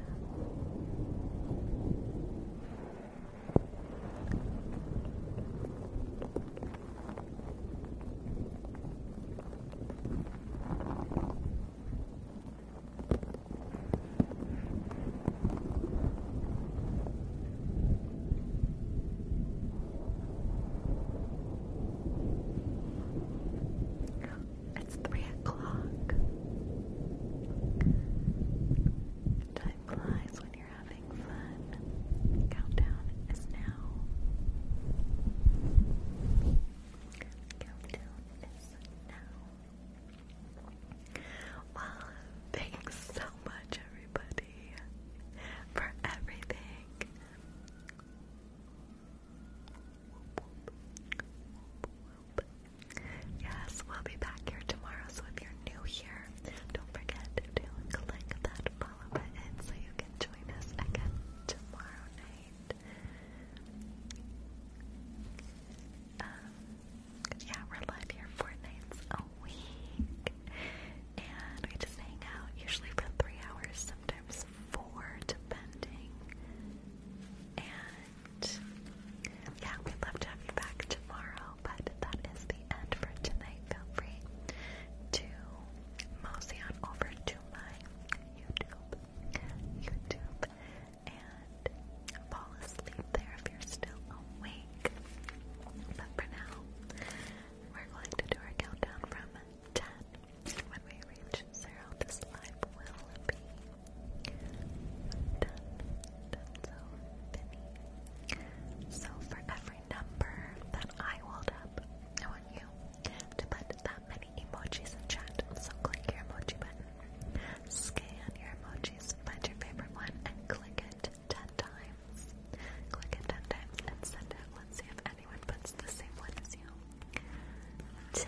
It's three o'clock. Time flies when you're having fun. Countdown is now. Countdown now. Well, thanks so much, everybody, for everything. Yes, we'll be back here tomorrow. So if you're new here, don't forget to click that follow button so you can join us again tomorrow night right? Um, yeah, we're live here four nights a week, and we just hang out usually for three hours, sometimes four, depending. And yeah, we'd love to have you back tomorrow, but that is the end for tonight. Feel free to mosey on over to my YouTube, YouTube and fall asleep there if you're still awake. But for now, we're going to do our countdown from 10. When we reach zero, this live will be Done so So for every number that I hold up, I want you to put that many emojis in chat, so click your emoji button. Scan your emojis, find your favorite one, and click it 10 times. Click it 10 times and send it. see if anyone puts the same one as you. 10.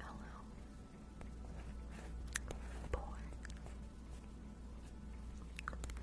Hello. Boy. Good. Good.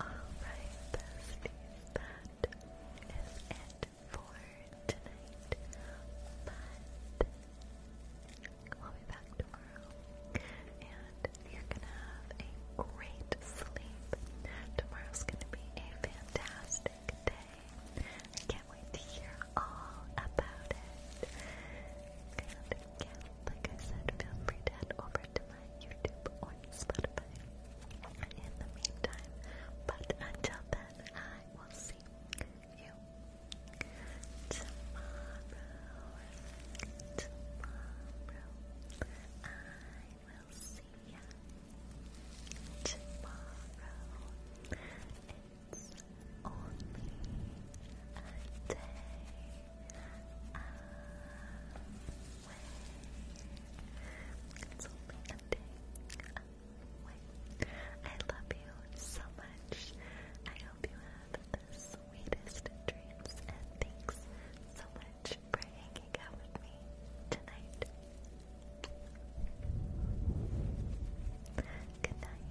Alright, besties, that is it for tonight. But we'll be back tomorrow. And you're gonna have a great sleep. Tomorrow's gonna be a fantastic day. I can't wait to hear all about it yeah, like I said, feel free to head over to my YouTube or Spotify in the meantime. But until then, I will see you tomorrow. Tomorrow, I will see you tomorrow. It's only a day it's I love you so much. I hope you have the sweetest dreams and thanks so much for hanging out with me tonight. Good night.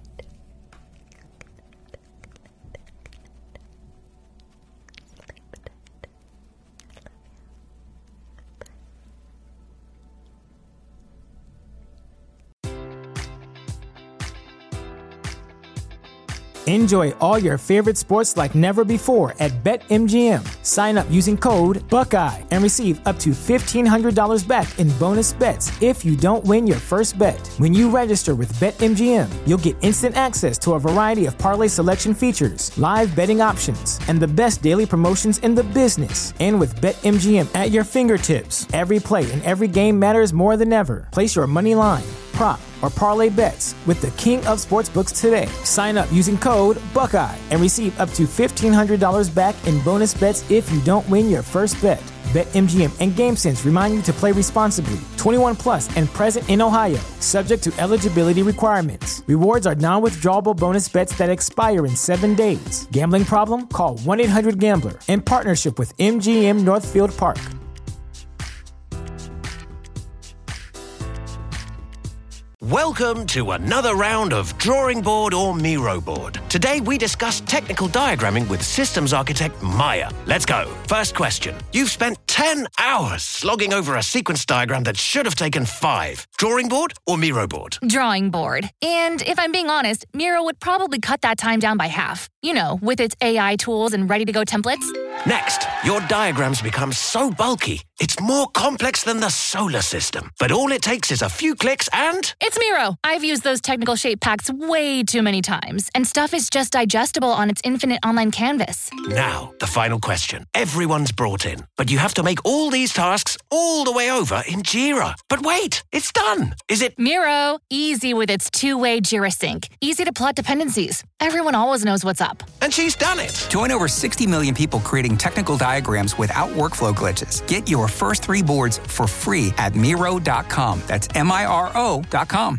Enjoy all your favorite sports like never before at BetMGM. Sign up using code Buckeye and receive up to $1,500 back in bonus bets if you don't win your first bet. When you register with BetMGM, you'll get instant access to a variety of parlay selection features, live betting options, and the best daily promotions in the business. And with BetMGM at your fingertips, every play and every game matters more than ever. Place your money line prop or parlay bets with the king of sportsbooks today. Sign up using code Buckeye and receive up to $1,500 back in bonus bets if you don't win your first bet. BetMGM and GameSense remind you to play responsibly. 21 plus and present in Ohio, subject to eligibility requirements. Rewards are non withdrawable bonus bets that expire in seven days. Gambling problem? Call 1 800 Gambler in partnership with MGM Northfield Park. Welcome to another round of Drawing Board or Miro Board. Today we discuss technical diagramming with systems architect Maya. Let's go. First question. You've spent 10 hours slogging over a sequence diagram that should have taken five. Drawing board or Miro board? Drawing board. And if I'm being honest, Miro would probably cut that time down by half. You know, with its AI tools and ready to go templates. Next, your diagrams become so bulky, it's more complex than the solar system. But all it takes is a few clicks and. It's Miro! I've used those technical shape packs way too many times and stuff is just digestible on its infinite online canvas. Now, the final question. Everyone's brought in, but you have to make all these tasks all the way over in Jira. But wait, it's done. Is it Miro? Easy with its two-way Jira sync. Easy to plot dependencies. Everyone always knows what's up. And she's done it. Join over 60 million people creating technical diagrams without workflow glitches. Get your first 3 boards for free at miro.com. That's m i r o.com.